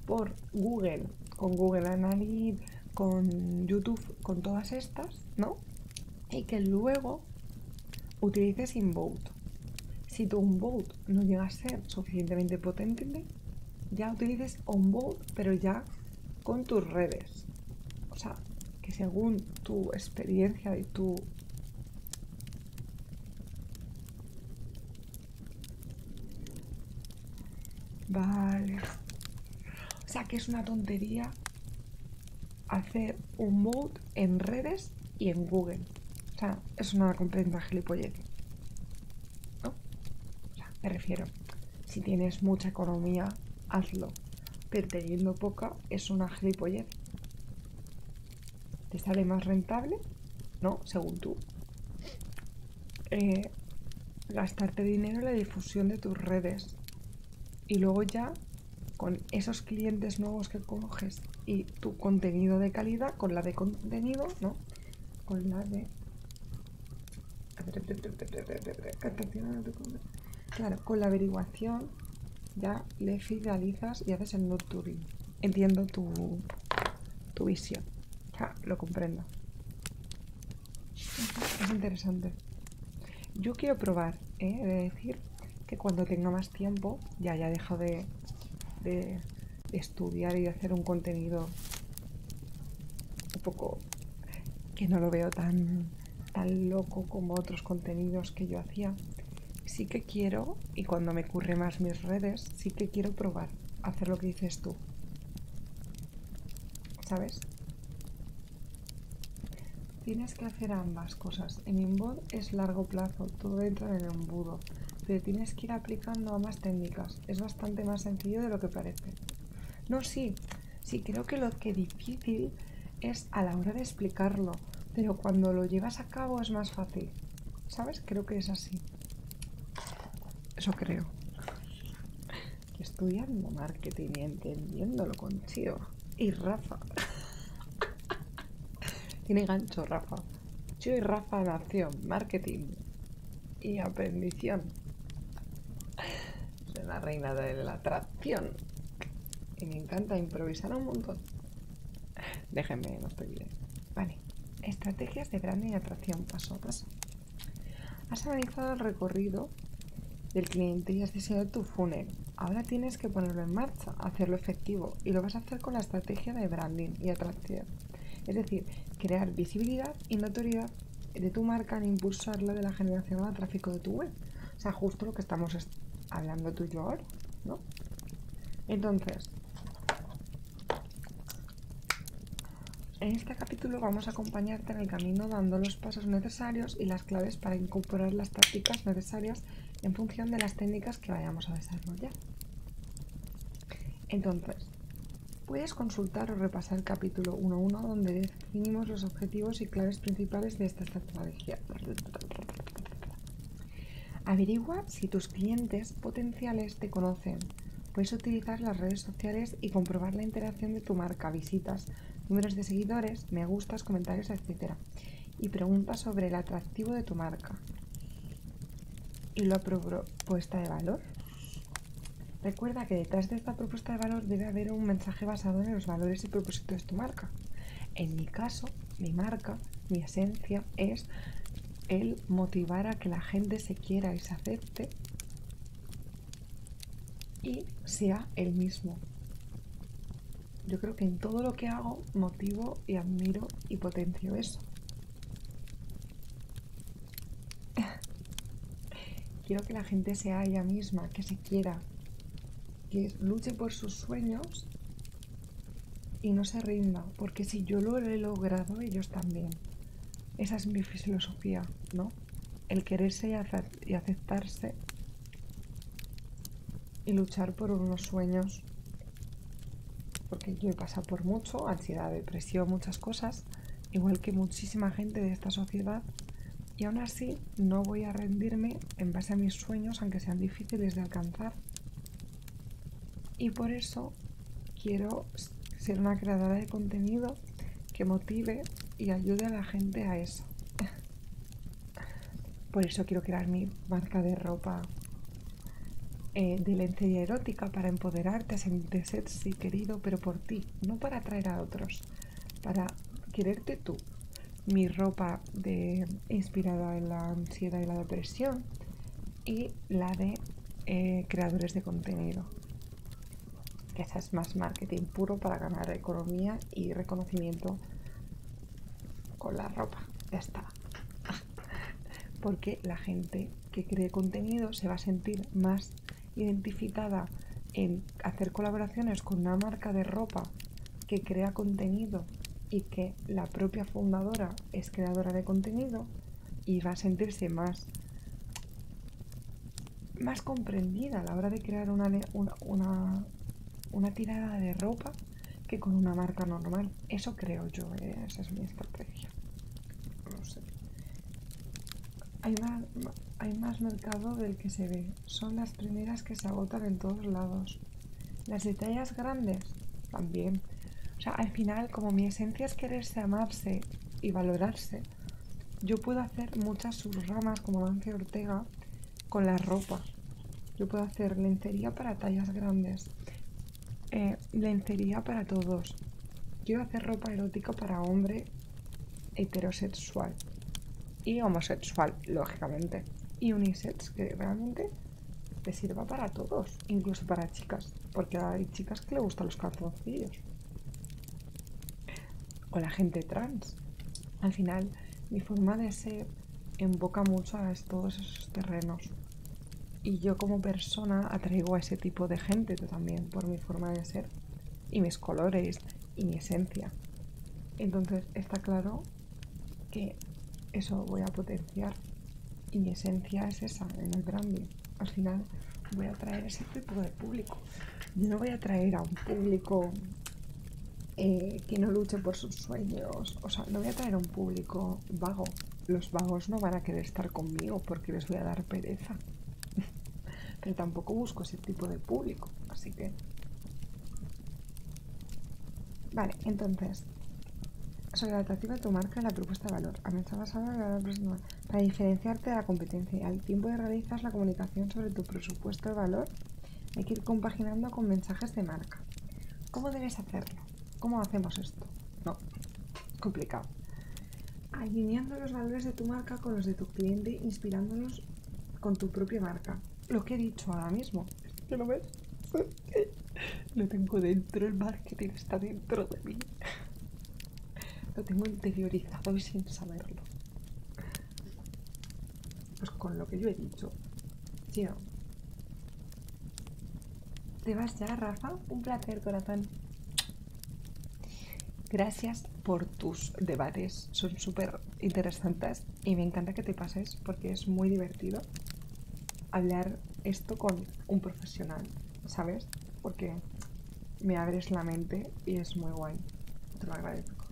por Google, con Google Analytics, con YouTube, con todas estas, ¿no? Y que luego utilices Invote. Si tu Invote no llega a ser suficientemente potente, ya utilices Onboard, pero ya con tus redes. O sea, que según tu experiencia y tu Vale. O sea que es una tontería hacer un mood en redes y en Google. O sea, es una completa gilipollez. ¿No? O sea, me refiero. Si tienes mucha economía, hazlo. Pero teniendo poca, es una gilipollez. ¿Te sale más rentable? No, según tú. Eh, gastarte dinero en la difusión de tus redes y luego ya con esos clientes nuevos que coges y tu contenido de calidad, con la de contenido, ¿no? Con la de... Claro, con la averiguación ya le fidelizas y haces el nurturing. Entiendo tu visión. Ya, lo comprendo. Es interesante. Yo quiero probar, es ¿eh? He de decir que cuando tenga más tiempo, ya haya dejado de, estudiar y de hacer un contenido un poco que no lo veo tan, tan loco como otros contenidos que yo hacía, sí que quiero, y cuando me ocurre más mis redes, sí que quiero probar hacer lo que dices tú, ¿Sabes? Tienes que hacer ambas cosas. En Inbod es largo plazo, todo dentro del embudo, pero tienes que ir aplicando ambas técnicas. Es bastante más sencillo de lo que parece. No, sí, sí, creo que lo que difícil es a la hora de explicarlo, pero cuando lo llevas a cabo es más fácil. ¿Sabes? Creo que es así. Eso creo. Estudiando marketing y entendiéndolo con Chio. Y Rafa. <laughs> Tiene gancho, Rafa. Chio y Rafa en acción, marketing y aprendición. Soy la reina de la atracción. Y me encanta improvisar un montón. Déjenme, no estoy bien. Vale. Estrategias de branding y atracción paso a paso. Has analizado el recorrido del cliente y has diseñado tu funnel. Ahora tienes que ponerlo en marcha, hacerlo efectivo y lo vas a hacer con la estrategia de branding y atracción. Es decir, crear visibilidad y notoriedad de tu marca e impulsarla de la generación al tráfico de tu web. O sea, justo lo que estamos hablando tú y yo ahora, ¿no? Entonces, en este capítulo vamos a acompañarte en el camino dando los pasos necesarios y las claves para incorporar las prácticas necesarias en función de las técnicas que vayamos a desarrollar. Entonces, puedes consultar o repasar el capítulo 1.1 donde definimos los objetivos y claves principales de esta estrategia. Averigua si tus clientes potenciales te conocen Puedes utilizar las redes sociales y comprobar la interacción de tu marca, visitas, números de seguidores, me gustas, comentarios, etc. Y preguntas sobre el atractivo de tu marca y la propuesta de valor. Recuerda que detrás de esta propuesta de valor debe haber un mensaje basado en los valores y propósitos de tu marca. En mi caso, mi marca, mi esencia es el motivar a que la gente se quiera y se acepte este, y sea el mismo. Yo creo que en todo lo que hago motivo y admiro y potencio eso. <laughs> Quiero que la gente sea ella misma, que se quiera, que luche por sus sueños y no se rinda, porque si yo lo he logrado, ellos también. Esa es mi filosofía, ¿no? El quererse y, aceptarse y luchar por unos sueños. Porque yo he pasado por mucho, ansiedad, depresión, muchas cosas, igual que muchísima gente de esta sociedad. Y aún así no voy a rendirme en base a mis sueños, aunque sean difíciles de alcanzar. Y por eso quiero ser una creadora de contenido que motive y ayude a la gente a eso. Por eso quiero crear mi marca de ropa eh, de lencería erótica para empoderarte, a sentirte ser querido, pero por ti, no para atraer a otros, para quererte tú. Mi ropa de, inspirada en la ansiedad y la depresión, y la de eh, creadores de contenido. Que esa es más marketing puro para ganar economía y reconocimiento con la ropa. Ya está. <laughs> Porque la gente que cree contenido se va a sentir más identificada en hacer colaboraciones con una marca de ropa que crea contenido y que la propia fundadora es creadora de contenido y va a sentirse más más comprendida a la hora de crear una, una, tirada de ropa que con una marca normal. Eso creo yo, ¿eh? esa es mi estrategia. No sé. Hay más, mercado del que se ve. Son las primeras que se agotan en todos lados. Las detalles grandes también. O sea, al final, como mi esencia es quererse amarse y valorarse, yo puedo hacer muchas subramas como Ángel Ortega con la ropa. Yo puedo hacer lencería para tallas grandes, eh, lencería para todos. Yo Quiero hacer ropa erótica para hombre heterosexual y homosexual, lógicamente. Y unisex, que realmente te sirva para todos, incluso para chicas, porque hay chicas que le gustan los calzoncillos o la gente trans. Al final, mi forma de ser invoca mucho a todos esos terrenos. Y yo como persona atraigo a ese tipo de gente también por mi forma de ser y mis colores y mi esencia. Entonces está claro que eso voy a potenciar y mi esencia es esa en el branding al final voy a traer ese tipo de público. Yo no voy a traer a un público eh, que no luche por sus sueños. O sea, no voy a traer a un público vago. Los vagos no van a querer estar conmigo porque les voy a dar pereza. <laughs> Pero tampoco busco ese tipo de público. Así que... Vale, entonces... Sobre la atracción de tu marca, la propuesta de valor. A está basada la próxima para diferenciarte de la competencia y al tiempo de realizar la comunicación sobre tu presupuesto de valor, hay que ir compaginando con mensajes de marca. ¿Cómo debes hacerlo? ¿Cómo hacemos esto? No, complicado. Alineando los valores de tu marca con los de tu cliente, inspirándonos con tu propia marca. Lo que he dicho ahora mismo. lo ves? <laughs> Lo tengo dentro, el marketing está dentro de mí. Lo tengo interiorizado y sin saberlo. Pues con lo que yo he dicho. ¿Te vas ya, Rafa? Un placer, corazón. Gracias por tus debates. Son súper interesantes y me encanta que te pases porque es muy divertido hablar esto con un profesional. ¿sabes? Porque me abres la mente y es muy guay. Te lo agradezco.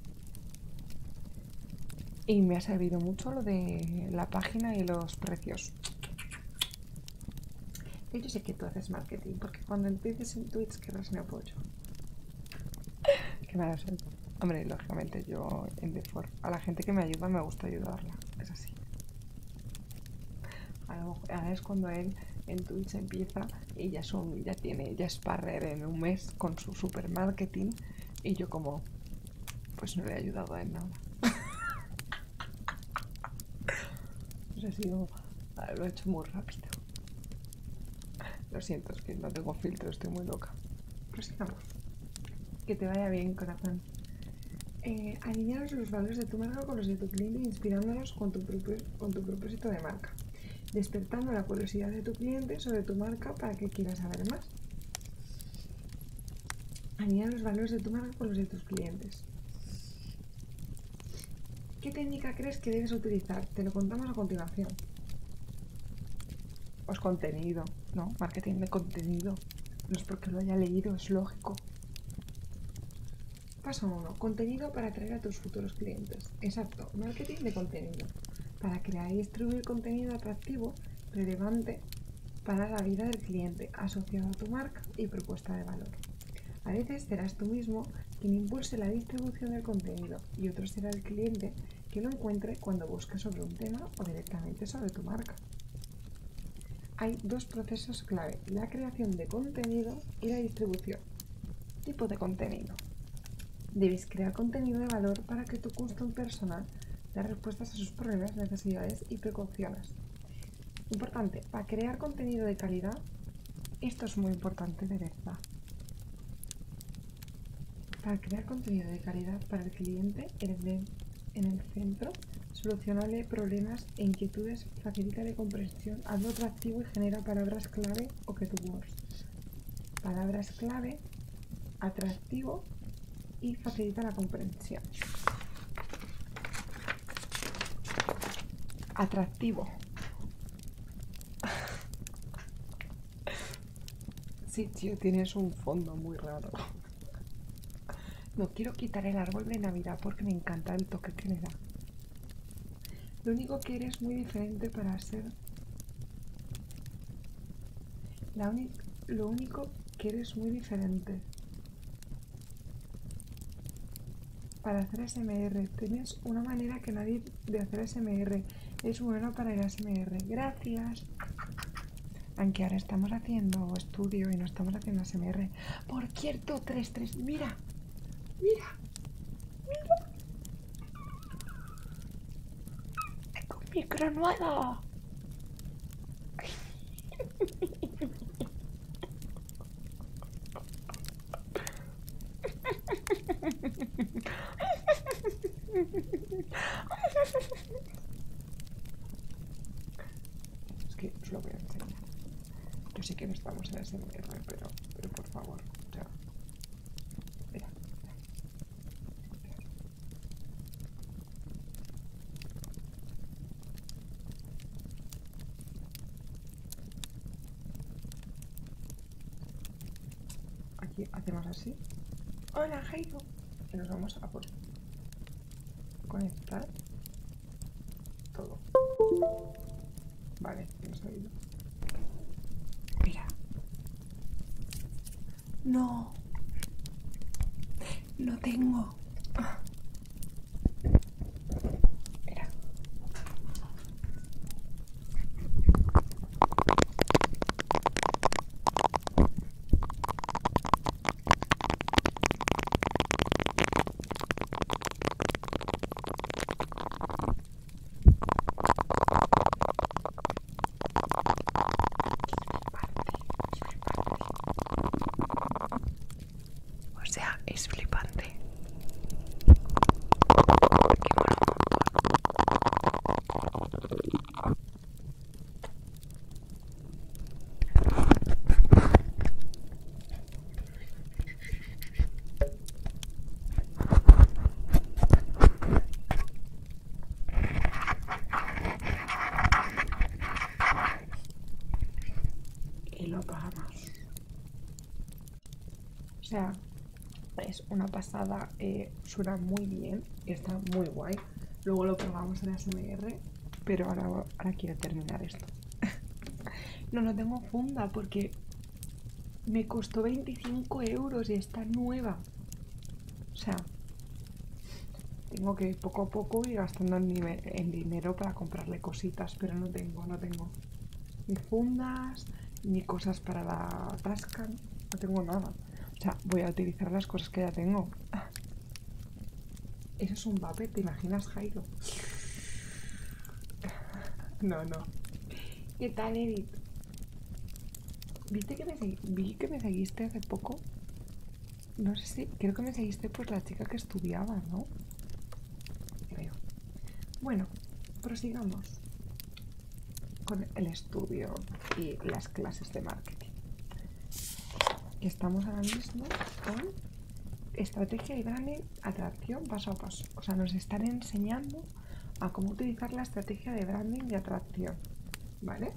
Y me ha servido mucho lo de la página y los precios. Yo sé que tú haces marketing, porque cuando empieces en Twitch quedas me apoyo. <laughs> Qué mala suerte. Hombre, lógicamente yo en Defor. A la gente que me ayuda me gusta ayudarla. Es así. ahora es cuando él en Twitch empieza y ya, son, ya tiene, ya es parrer en un mes con su supermarketing y yo como, pues no le he ayudado en nada. <laughs> Pues ah, lo he hecho muy rápido. Lo siento, es que no tengo filtro, estoy muy loca. sigamos Que te vaya bien, corazón. Eh, alinearos los valores de tu marca con los de tu cliente inspirándonos con tu, propósito de marca, despertando la curiosidad de tu cliente sobre tu marca para que quiera saber más. Añadir los valores de tu marca con los de tus clientes. ¿Qué técnica crees que debes utilizar? Te lo contamos a continuación. Pues contenido, ¿no? Marketing de contenido. No es porque lo haya leído, es lógico. Paso 1. Contenido para atraer a tus futuros clientes. Exacto, marketing de contenido. Para crear y distribuir contenido atractivo, relevante para la vida del cliente, asociado a tu marca y propuesta de valor. A veces serás tú mismo quien impulse la distribución del contenido y otro será el cliente que lo encuentre cuando busque sobre un tema o directamente sobre tu marca. Hay dos procesos clave, la creación de contenido y la distribución. Tipo de contenido. Debes crear contenido de valor para que tu custom personal dé respuestas a sus problemas, necesidades y precauciones. Importante, para crear contenido de calidad, esto es muy importante de verdad. Para crear contenido de calidad para el cliente, el el, en el centro, solucionarle problemas e inquietudes, facilita la comprensión, hazlo atractivo y genera palabras clave o que tu Palabras clave, atractivo y facilita la comprensión. Atractivo. <laughs> Sí, tío, tienes un fondo muy raro. No quiero quitar el árbol de Navidad porque me encanta el toque que le da. Lo único que eres muy diferente para hacer, lo único que eres muy diferente. Para hacer SMR. Tienes una manera que nadie de hacer SMR. Es bueno para el SMR. Gracias. Aunque ahora estamos haciendo estudio y no estamos haciendo SMR. Por cierto, 3-3. Mira. Mira. I un micro nuevo. Es que voy a enseñar. Yo sí que no estamos en ese pero, pero por favor, sea. Mira, mira. Aquí hacemos así. Hola, Heiko! Y nos vamos a por conectar todo. Vale, hemos oído. Mira. No. Lo tengo. Mira. O sea, es flipante. Y lo apagamos. O sea, es una pasada, eh, suena muy bien, está muy guay. Luego lo probamos en SMR, pero ahora, ahora quiero terminar esto. <laughs> no, no tengo funda porque me costó 25 euros y está nueva. O sea, tengo que poco a poco ir gastando el dinero para comprarle cositas, pero no tengo, no tengo ni fundas, ni cosas para la tasca, no tengo nada. O sea, voy a utilizar las cosas que ya tengo. <laughs> Eso es un papel, ¿te imaginas, Jairo? no, no. ¿Qué tal, Edith? ¿Viste que me vi que me seguiste hace poco? No sé si, creo que me seguiste por la chica que estudiaba, ¿no? Creo. Bueno, prosigamos con el estudio y las clases de marketing. Estamos ahora mismo con estrategia y branding, atracción paso a paso o sea, nos están enseñando a cómo utilizar la estrategia de branding y atracción, ¿vale?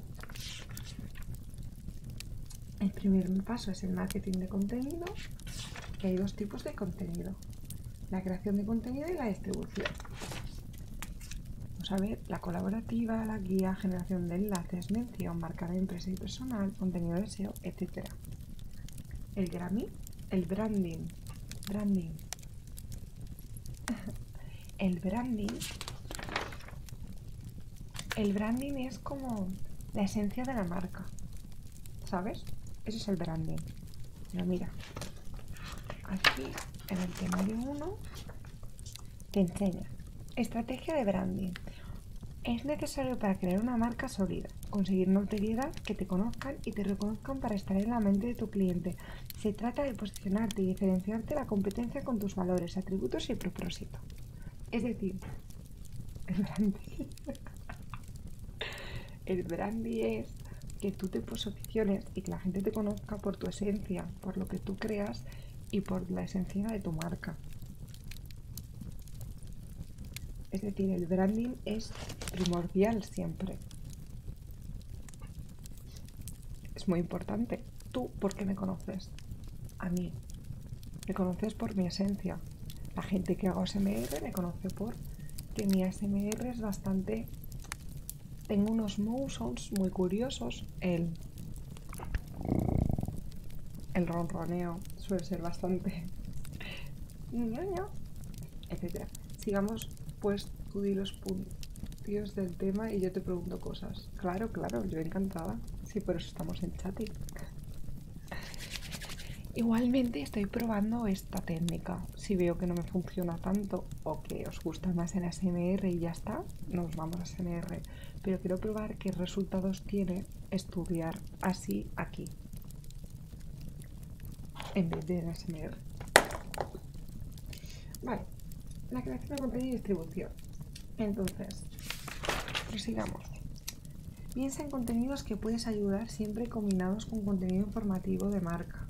El primer paso es el marketing de contenido, que hay dos tipos de contenido, la creación de contenido y la distribución. Vamos a ver, la colaborativa, la guía, generación de enlaces, mención, marca de empresa y personal, contenido de SEO, etc. El Grammy, el branding branding el branding el branding es como la esencia de la marca ¿sabes? eso es el branding pero mira aquí en el temario 1 te enseña estrategia de branding es necesario para crear una marca sólida conseguir notoriedad que te conozcan y te reconozcan para estar en la mente de tu cliente. Se trata de posicionarte y diferenciarte la competencia con tus valores, atributos y propósito. Es decir, el branding <laughs> es que tú te posiciones y que la gente te conozca por tu esencia, por lo que tú creas y por la esencia de tu marca. Es decir, el branding es primordial siempre. Es muy importante. Tú, porque me conoces? A mí. Me conoces por mi esencia. La gente que hago SMR me conoce por que mi smr es bastante... Tengo unos motions muy curiosos. El... El ronroneo suele ser bastante etc. Sigamos, pues tú di los puntos del tema y yo te pregunto cosas. Claro, claro, yo encantada. Sí, por eso estamos en chat. Igualmente estoy probando esta técnica. Si veo que no me funciona tanto o que os gusta más en ASMR y ya está, nos vamos a ASMR. Pero quiero probar qué resultados tiene estudiar así aquí en vez de en Vale, la creación de contenido y distribución. Entonces, sigamos. Piensa en contenidos que puedes ayudar siempre combinados con contenido informativo de marca.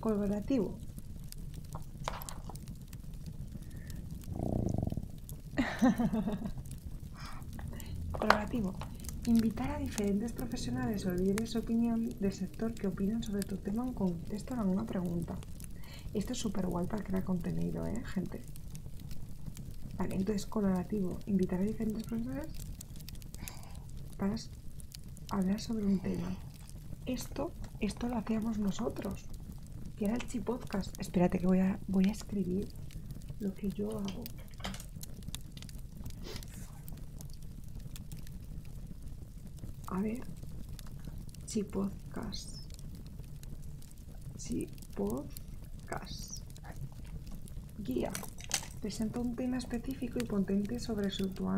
Colaborativo. <laughs> Colaborativo. Invitar a diferentes profesionales o líderes de opinión del sector que opinan sobre tu tema en contexto a alguna pregunta. Esto es súper guay para crear contenido, ¿eh, gente? Vale, entonces colaborativo, invitar a diferentes profesionales para hablar sobre un tema. Esto, esto lo hacíamos nosotros, que era el chipodcast. Espérate que voy voy a escribir lo que yo hago a ver. Si podcast. Si podcast. Guía. Presenta un tema específico y potente sobre su tu,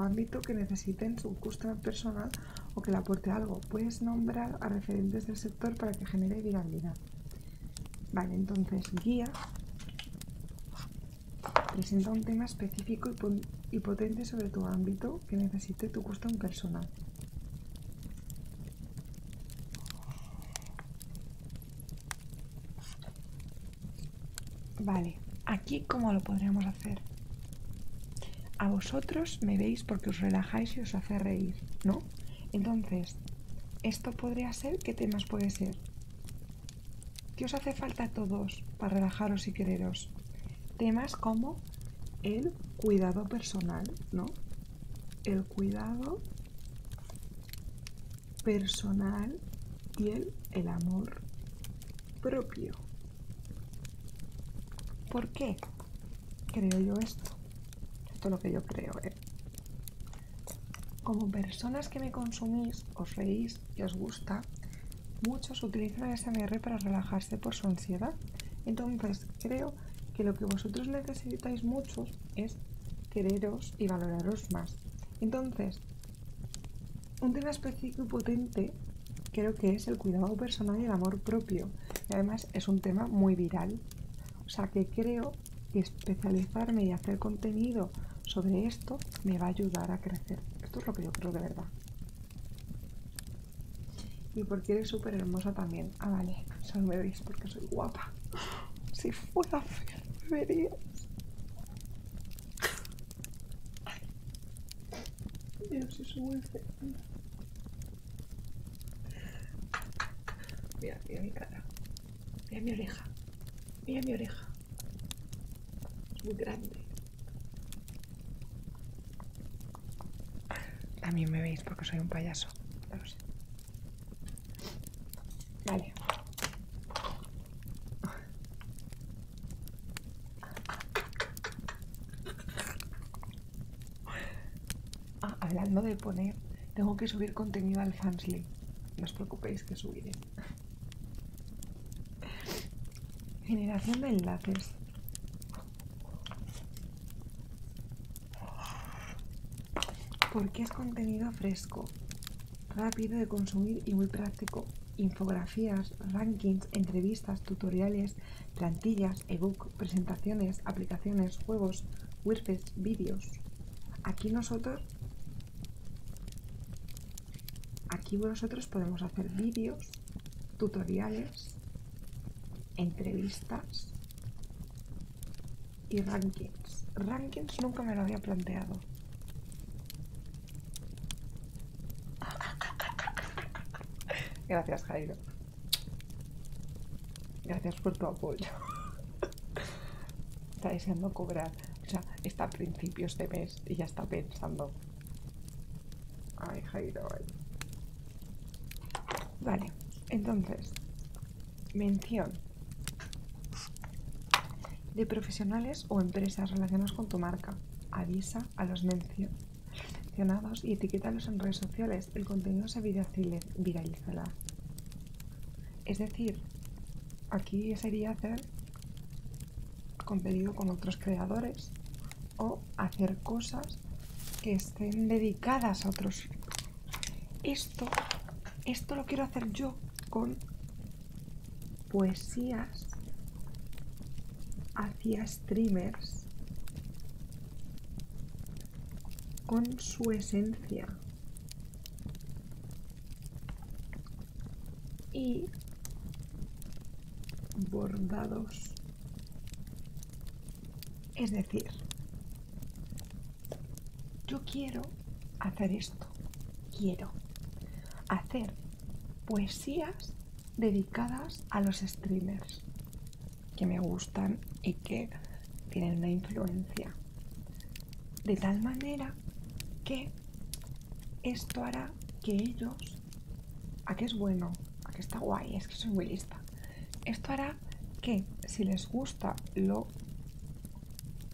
ámbito que necesiten su customer personal o que le aporte algo. Puedes nombrar a referentes del sector para que genere viabilidad. Vale, entonces guía Presenta un tema específico y potente sobre tu ámbito que necesite tu custom personal. Vale, aquí cómo lo podríamos hacer. A vosotros me veis porque os relajáis y os hace reír, ¿no? Entonces, esto podría ser, ¿qué temas puede ser? ¿Qué os hace falta a todos para relajaros y quereros? Temas como el cuidado personal, ¿no? El cuidado personal y el, amor propio. ¿Por qué creo yo esto? Esto es lo que yo creo, ¿eh? Como personas que me consumís, os reís y os gusta, muchos utilizan el SMR para relajarse por su ansiedad. Entonces, creo que lo que vosotros necesitáis muchos es quereros y valoraros más. Entonces, un tema específico y potente creo que es el cuidado personal y el amor propio. Y además es un tema muy viral. O sea que creo especializarme y hacer contenido sobre esto me va a ayudar a crecer. Esto es lo que yo creo de verdad. Y porque eres súper hermosa también. Ah, vale, solo me porque soy guapa. Si fuera fea, me verías. Mira, mira mi cara. Mira mi oreja. Mira mi oreja muy grande. También me veis porque soy un payaso. No sé. Vale. Ah, hablando de poner, tengo que subir contenido al Fansly. No os preocupéis que subiré. Generación de enlaces. Porque es contenido fresco, rápido de consumir y muy práctico. Infografías, rankings, entrevistas, tutoriales, plantillas, ebook, presentaciones, aplicaciones, juegos, wirfs, vídeos. Aquí nosotros Aquí vosotros podemos hacer vídeos, tutoriales, entrevistas y rankings. Rankings nunca me lo había planteado. <laughs> Gracias, Jairo. Gracias por tu apoyo. <laughs> Está deseando cobrar o sea, está a principios de mes y ya está pensando. Ay, Jairo. Vale, entonces, mención de profesionales o empresas relacionadas con tu marca. Avisa a los, mencionados y etiquétalos en redes sociales. El contenido se viralizará. Es decir, aquí sería hacer competido con otros creadores o hacer cosas que estén dedicadas a otros. Esto, esto lo quiero hacer yo con poesías hacia streamers con su esencia y bordados es decir yo quiero hacer esto quiero hacer poesías dedicadas a los streamers que me gustan y que tienen una influencia de tal manera que esto hará que ellos... ¿A qué es bueno? ¿A qué está guay? Es que soy muy lista. Esto hará que si les gusta lo,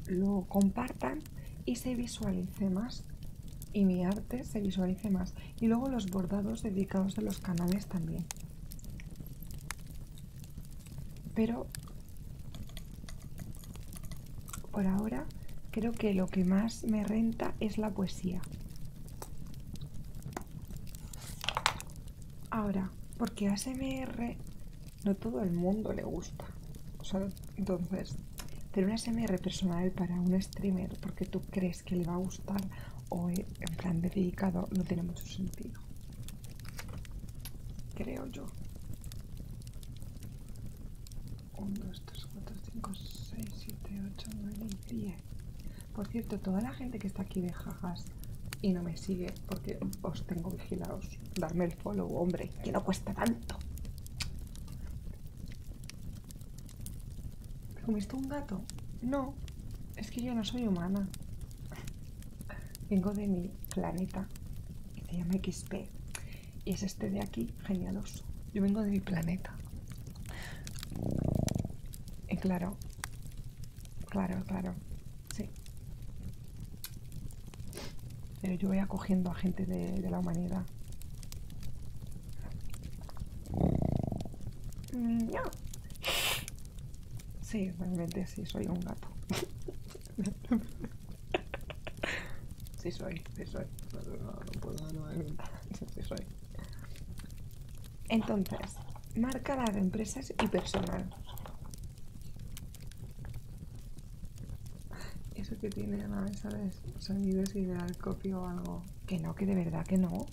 lo compartan y se visualice más. Y mi arte se visualice más. Y luego los bordados dedicados de los canales también. Pero por ahora creo que lo que más me renta es la poesía. Ahora, porque ASMR no todo el mundo le gusta. O sea, entonces, tener un ASMR personal para un streamer porque tú crees que le va a gustar o eh, en plan dedicado no tiene mucho sentido. Creo yo. 1, 2, 3, 4, 5, 6, 7, 8, 9, y 10. Por cierto, toda la gente que está aquí de jajas y no me sigue porque os tengo vigilados. Darme el follow, hombre, que no cuesta tanto. ¿Me comiste un gato? No, es que yo no soy humana. Vengo de mi planeta que se llama XP y es este de aquí, genialoso. Yo vengo de mi planeta. Y eh, claro, claro, claro, sí. Pero yo voy acogiendo a gente de, de la humanidad. Mm, sí, realmente sí, soy un gato. <laughs> Sí soy, sí soy. No, puedo, no, Entonces, marca la de empresas y personal. Eso que tiene a la mesa de sonidos y de o algo. Que no, que de verdad que no.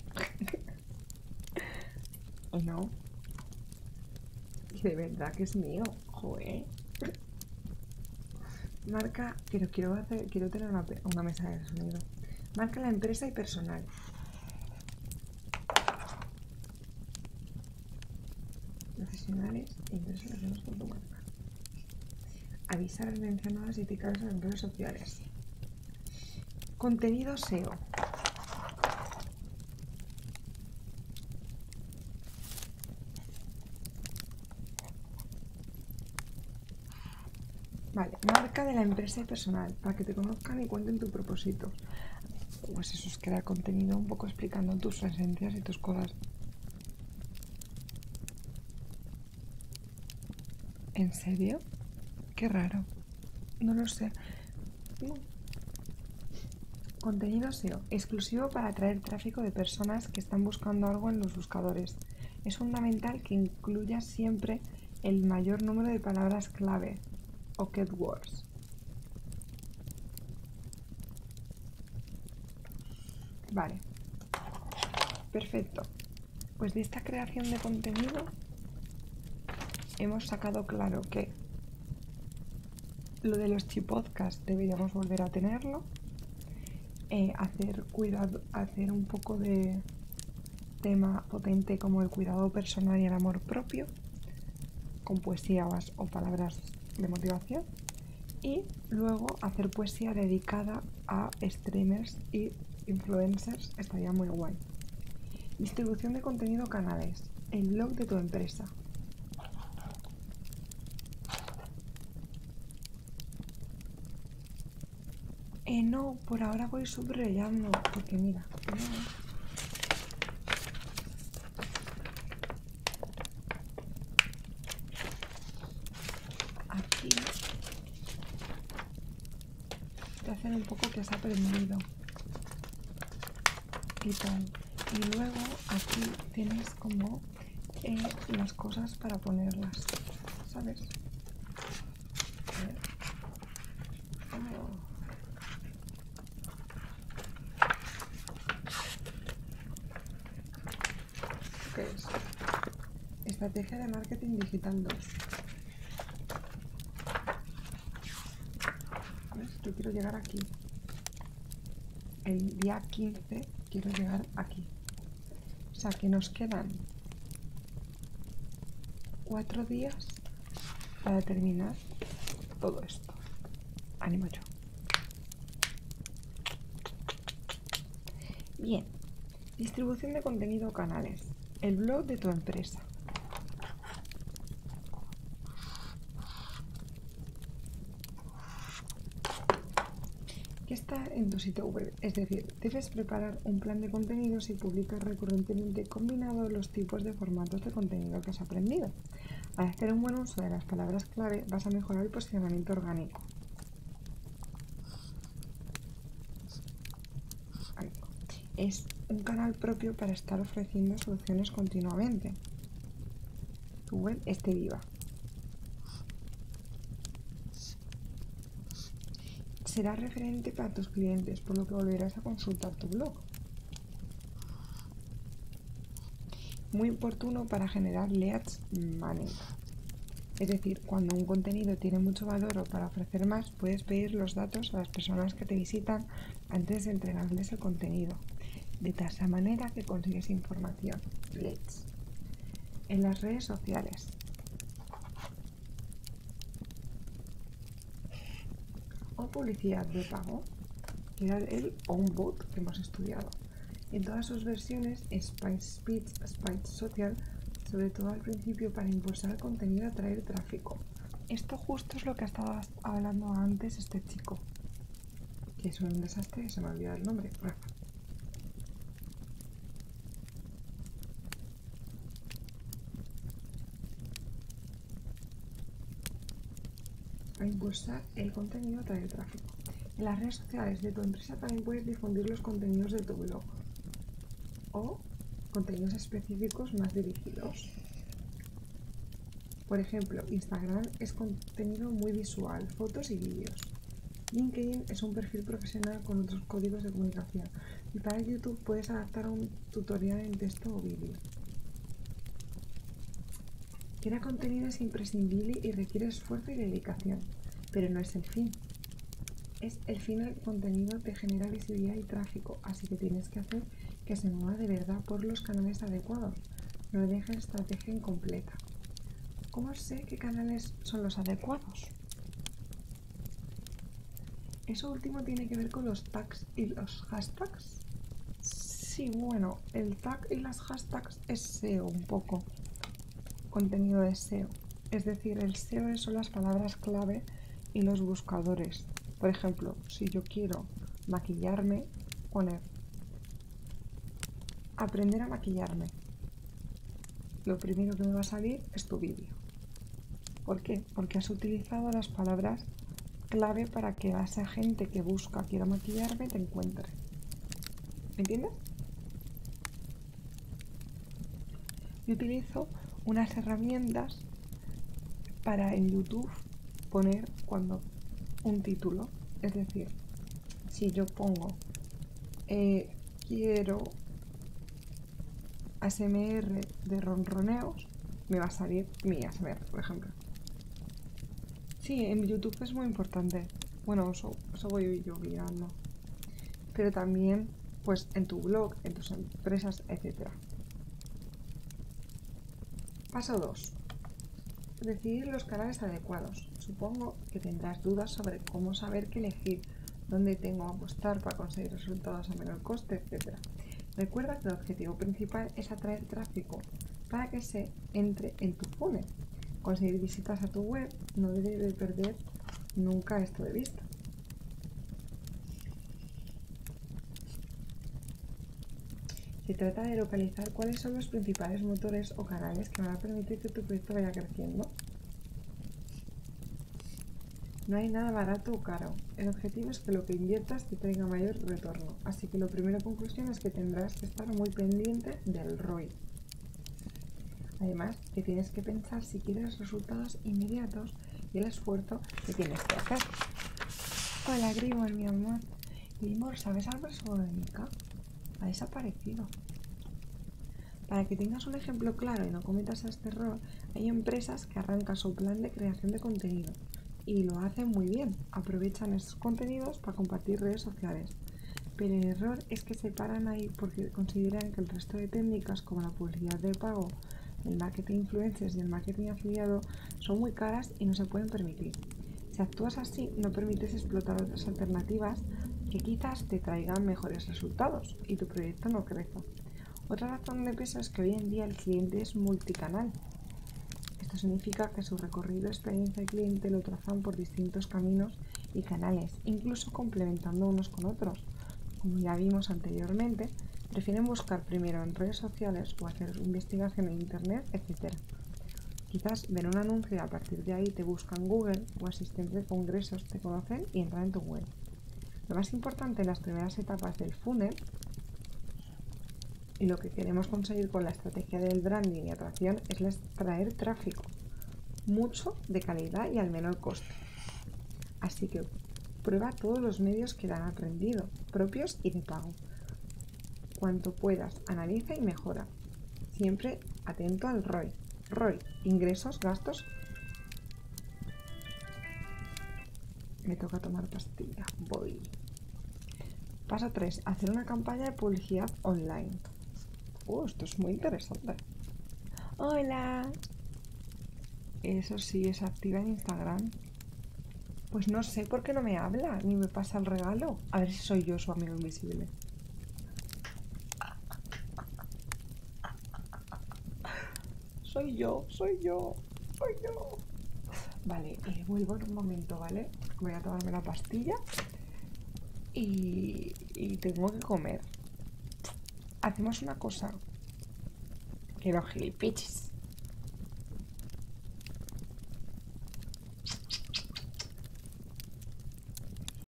<laughs> no. Que de verdad que es mío. Marca. Quiero, quiero tener una, mesa de sonido. Marca la empresa y personal. Profesionales e empresas tu marca. Avisar a las mencionadas y picaros en las redes sociales. Contenido SEO. Vale, marca de la empresa y personal, para que te conozcan y cuenten tu propósito. Pues eso es crear contenido un poco explicando tus esencias y tus cosas. ¿En serio? Qué raro. No lo sé. Contenido SEO, exclusivo para atraer tráfico de personas que están buscando algo en los buscadores. Es fundamental que incluyas siempre el mayor número de palabras clave o keywords. Vale, perfecto. Pues de esta creación de contenido hemos sacado claro que lo de los chipotcas deberíamos volver a tenerlo eh, hacer cuidado, hacer un poco de tema potente como el cuidado personal y el amor propio, con poesías o palabras de motivación, y luego hacer poesía dedicada a streamers y influencers, estaría muy guay. Distribución de contenido canales, el blog de tu empresa. Eh, no, por ahora voy subrayando, porque mira. Aquí te hacen un poco que has aprendido y Y luego aquí tienes como las cosas para ponerlas, ¿sabes? ¿Qué es? Estrategia de marketing digital 2. ¿Ves? Yo quiero llegar aquí. El día 15 quiero llegar aquí. O sea que nos quedan cuatro días para terminar todo esto. Ánimo yo. Bien, distribución de contenido o canales. El blog de tu empresa. ¿Qué está en tu sitio web, es decir, debes preparar un plan de contenidos y publicar recurrentemente combinado los tipos de formatos de contenido que has aprendido. Al hacer un buen uso de las palabras clave vas a mejorar el posicionamiento orgánico. Es un canal propio para estar ofreciendo soluciones continuamente. Tu web esté viva. Será referente para tus clientes, por lo que volverás a consultar tu blog. Muy oportuno para generar leads management, Es decir, cuando un contenido tiene mucho valor o para ofrecer más, puedes pedir los datos a las personas que te visitan antes de entregarles el contenido. De tal manera que consigues información en las redes sociales. O publicidad de pago, que era el onboard que hemos estudiado. En todas sus versiones, Spice Speech, Spice Social, sobre todo al principio para impulsar el contenido atraer tráfico. Esto justo es lo que estado hablando antes este chico, que es un desastre, se me ha olvidado el nombre, para impulsar el contenido atrae el tráfico. En las redes sociales de tu empresa también puedes difundir los contenidos de tu blog o contenidos específicos más dirigidos. Por ejemplo, Instagram es contenido muy visual, fotos y vídeos. LinkedIn es un perfil profesional con otros códigos de comunicación y para YouTube puedes adaptar un tutorial en texto o vídeo. Crear contenido es imprescindible y requiere esfuerzo y dedicación, pero no es el fin. Es el fin contenido que genera visibilidad y tráfico, así que tienes que hacer que se mueva de verdad por los canales adecuados. No dejes estrategia incompleta. ¿Cómo sé qué canales son los adecuados? ¿Eso último tiene que ver con los tags y los hashtags? Sí, bueno, el tag y las hashtags es SEO un poco, contenido de SEO. Es decir, el SEO son las palabras clave y los buscadores. Por ejemplo, si yo quiero maquillarme, poner aprender a maquillarme lo primero que me va a salir es tu vídeo. ¿Por qué? Porque has utilizado las palabras clave para que a esa gente que busca quiero maquillarme te encuentre. ¿Me entiendes? Yo utilizo unas herramientas para en YouTube poner cuando un título. Es decir, si yo pongo eh, quiero ASMR de ronroneos, me va a salir mi ASMR, por ejemplo. Sí, en YouTube es muy importante. Bueno, eso, voy yo mirando, Pero también, pues, en tu blog, en tus empresas, etc. Paso 2. Decidir los canales adecuados. Supongo que tendrás dudas sobre cómo saber qué elegir, dónde tengo que apostar para conseguir resultados a menor coste, etc. Recuerda que el objetivo principal es atraer tráfico para que se entre en tu funnel. Conseguir visitas a tu web no debe perder nunca esto de vista. Se trata de localizar cuáles son los principales motores o canales que van a permitir que tu proyecto vaya creciendo. No hay nada barato o caro. El objetivo es que lo que inviertas te traiga mayor retorno. Así que la primera conclusión es que tendrás que estar muy pendiente del ROI. Además, que tienes que pensar si quieres resultados inmediatos y el esfuerzo que tienes que hacer. Hola, Grimor, mi amor. Grimor, ¿sabes algo sobre Mika? Ha desaparecido. Para que tengas un ejemplo claro y no cometas este error, hay empresas que arrancan su plan de creación de contenido y lo hacen muy bien. Aprovechan esos contenidos para compartir redes sociales. Pero el error es que se paran ahí porque consideran que el resto de técnicas como la publicidad de pago, el marketing influencers y el marketing afiliado son muy caras y no se pueden permitir. Si actúas así, no permites explotar otras alternativas que quizás te traigan mejores resultados y tu proyecto no crece. Otra razón de peso es que hoy en día el cliente es multicanal. Esto significa que su recorrido, experiencia y cliente lo trazan por distintos caminos y canales, incluso complementando unos con otros. Como ya vimos anteriormente, prefieren buscar primero en redes sociales o hacer investigación en internet, etc. Quizás ver un anuncio y a partir de ahí te buscan Google o asistentes de congresos te conocen y entran en tu web. Lo más importante en las primeras etapas del funnel y lo que queremos conseguir con la estrategia del branding y atracción es traer tráfico, mucho de calidad y al menor coste. Así que prueba todos los medios que te han aprendido, propios y de pago. Cuanto puedas, analiza y mejora. Siempre atento al Roy. ¿Roy, ingresos, gastos. Me toca tomar pastilla. Voy. Paso 3. Hacer una campaña de publicidad online. Uh, esto es muy interesante. ¡Hola! Eso sí, es activa en Instagram. Pues no sé por qué no me habla ni me pasa el regalo. A ver si soy yo su amigo invisible. Soy yo, soy yo, soy yo. Vale, eh, vuelvo en un momento, ¿vale? Voy a tomarme la pastilla y, tengo que comer. Hacemos una cosa. Quiero gilipiches.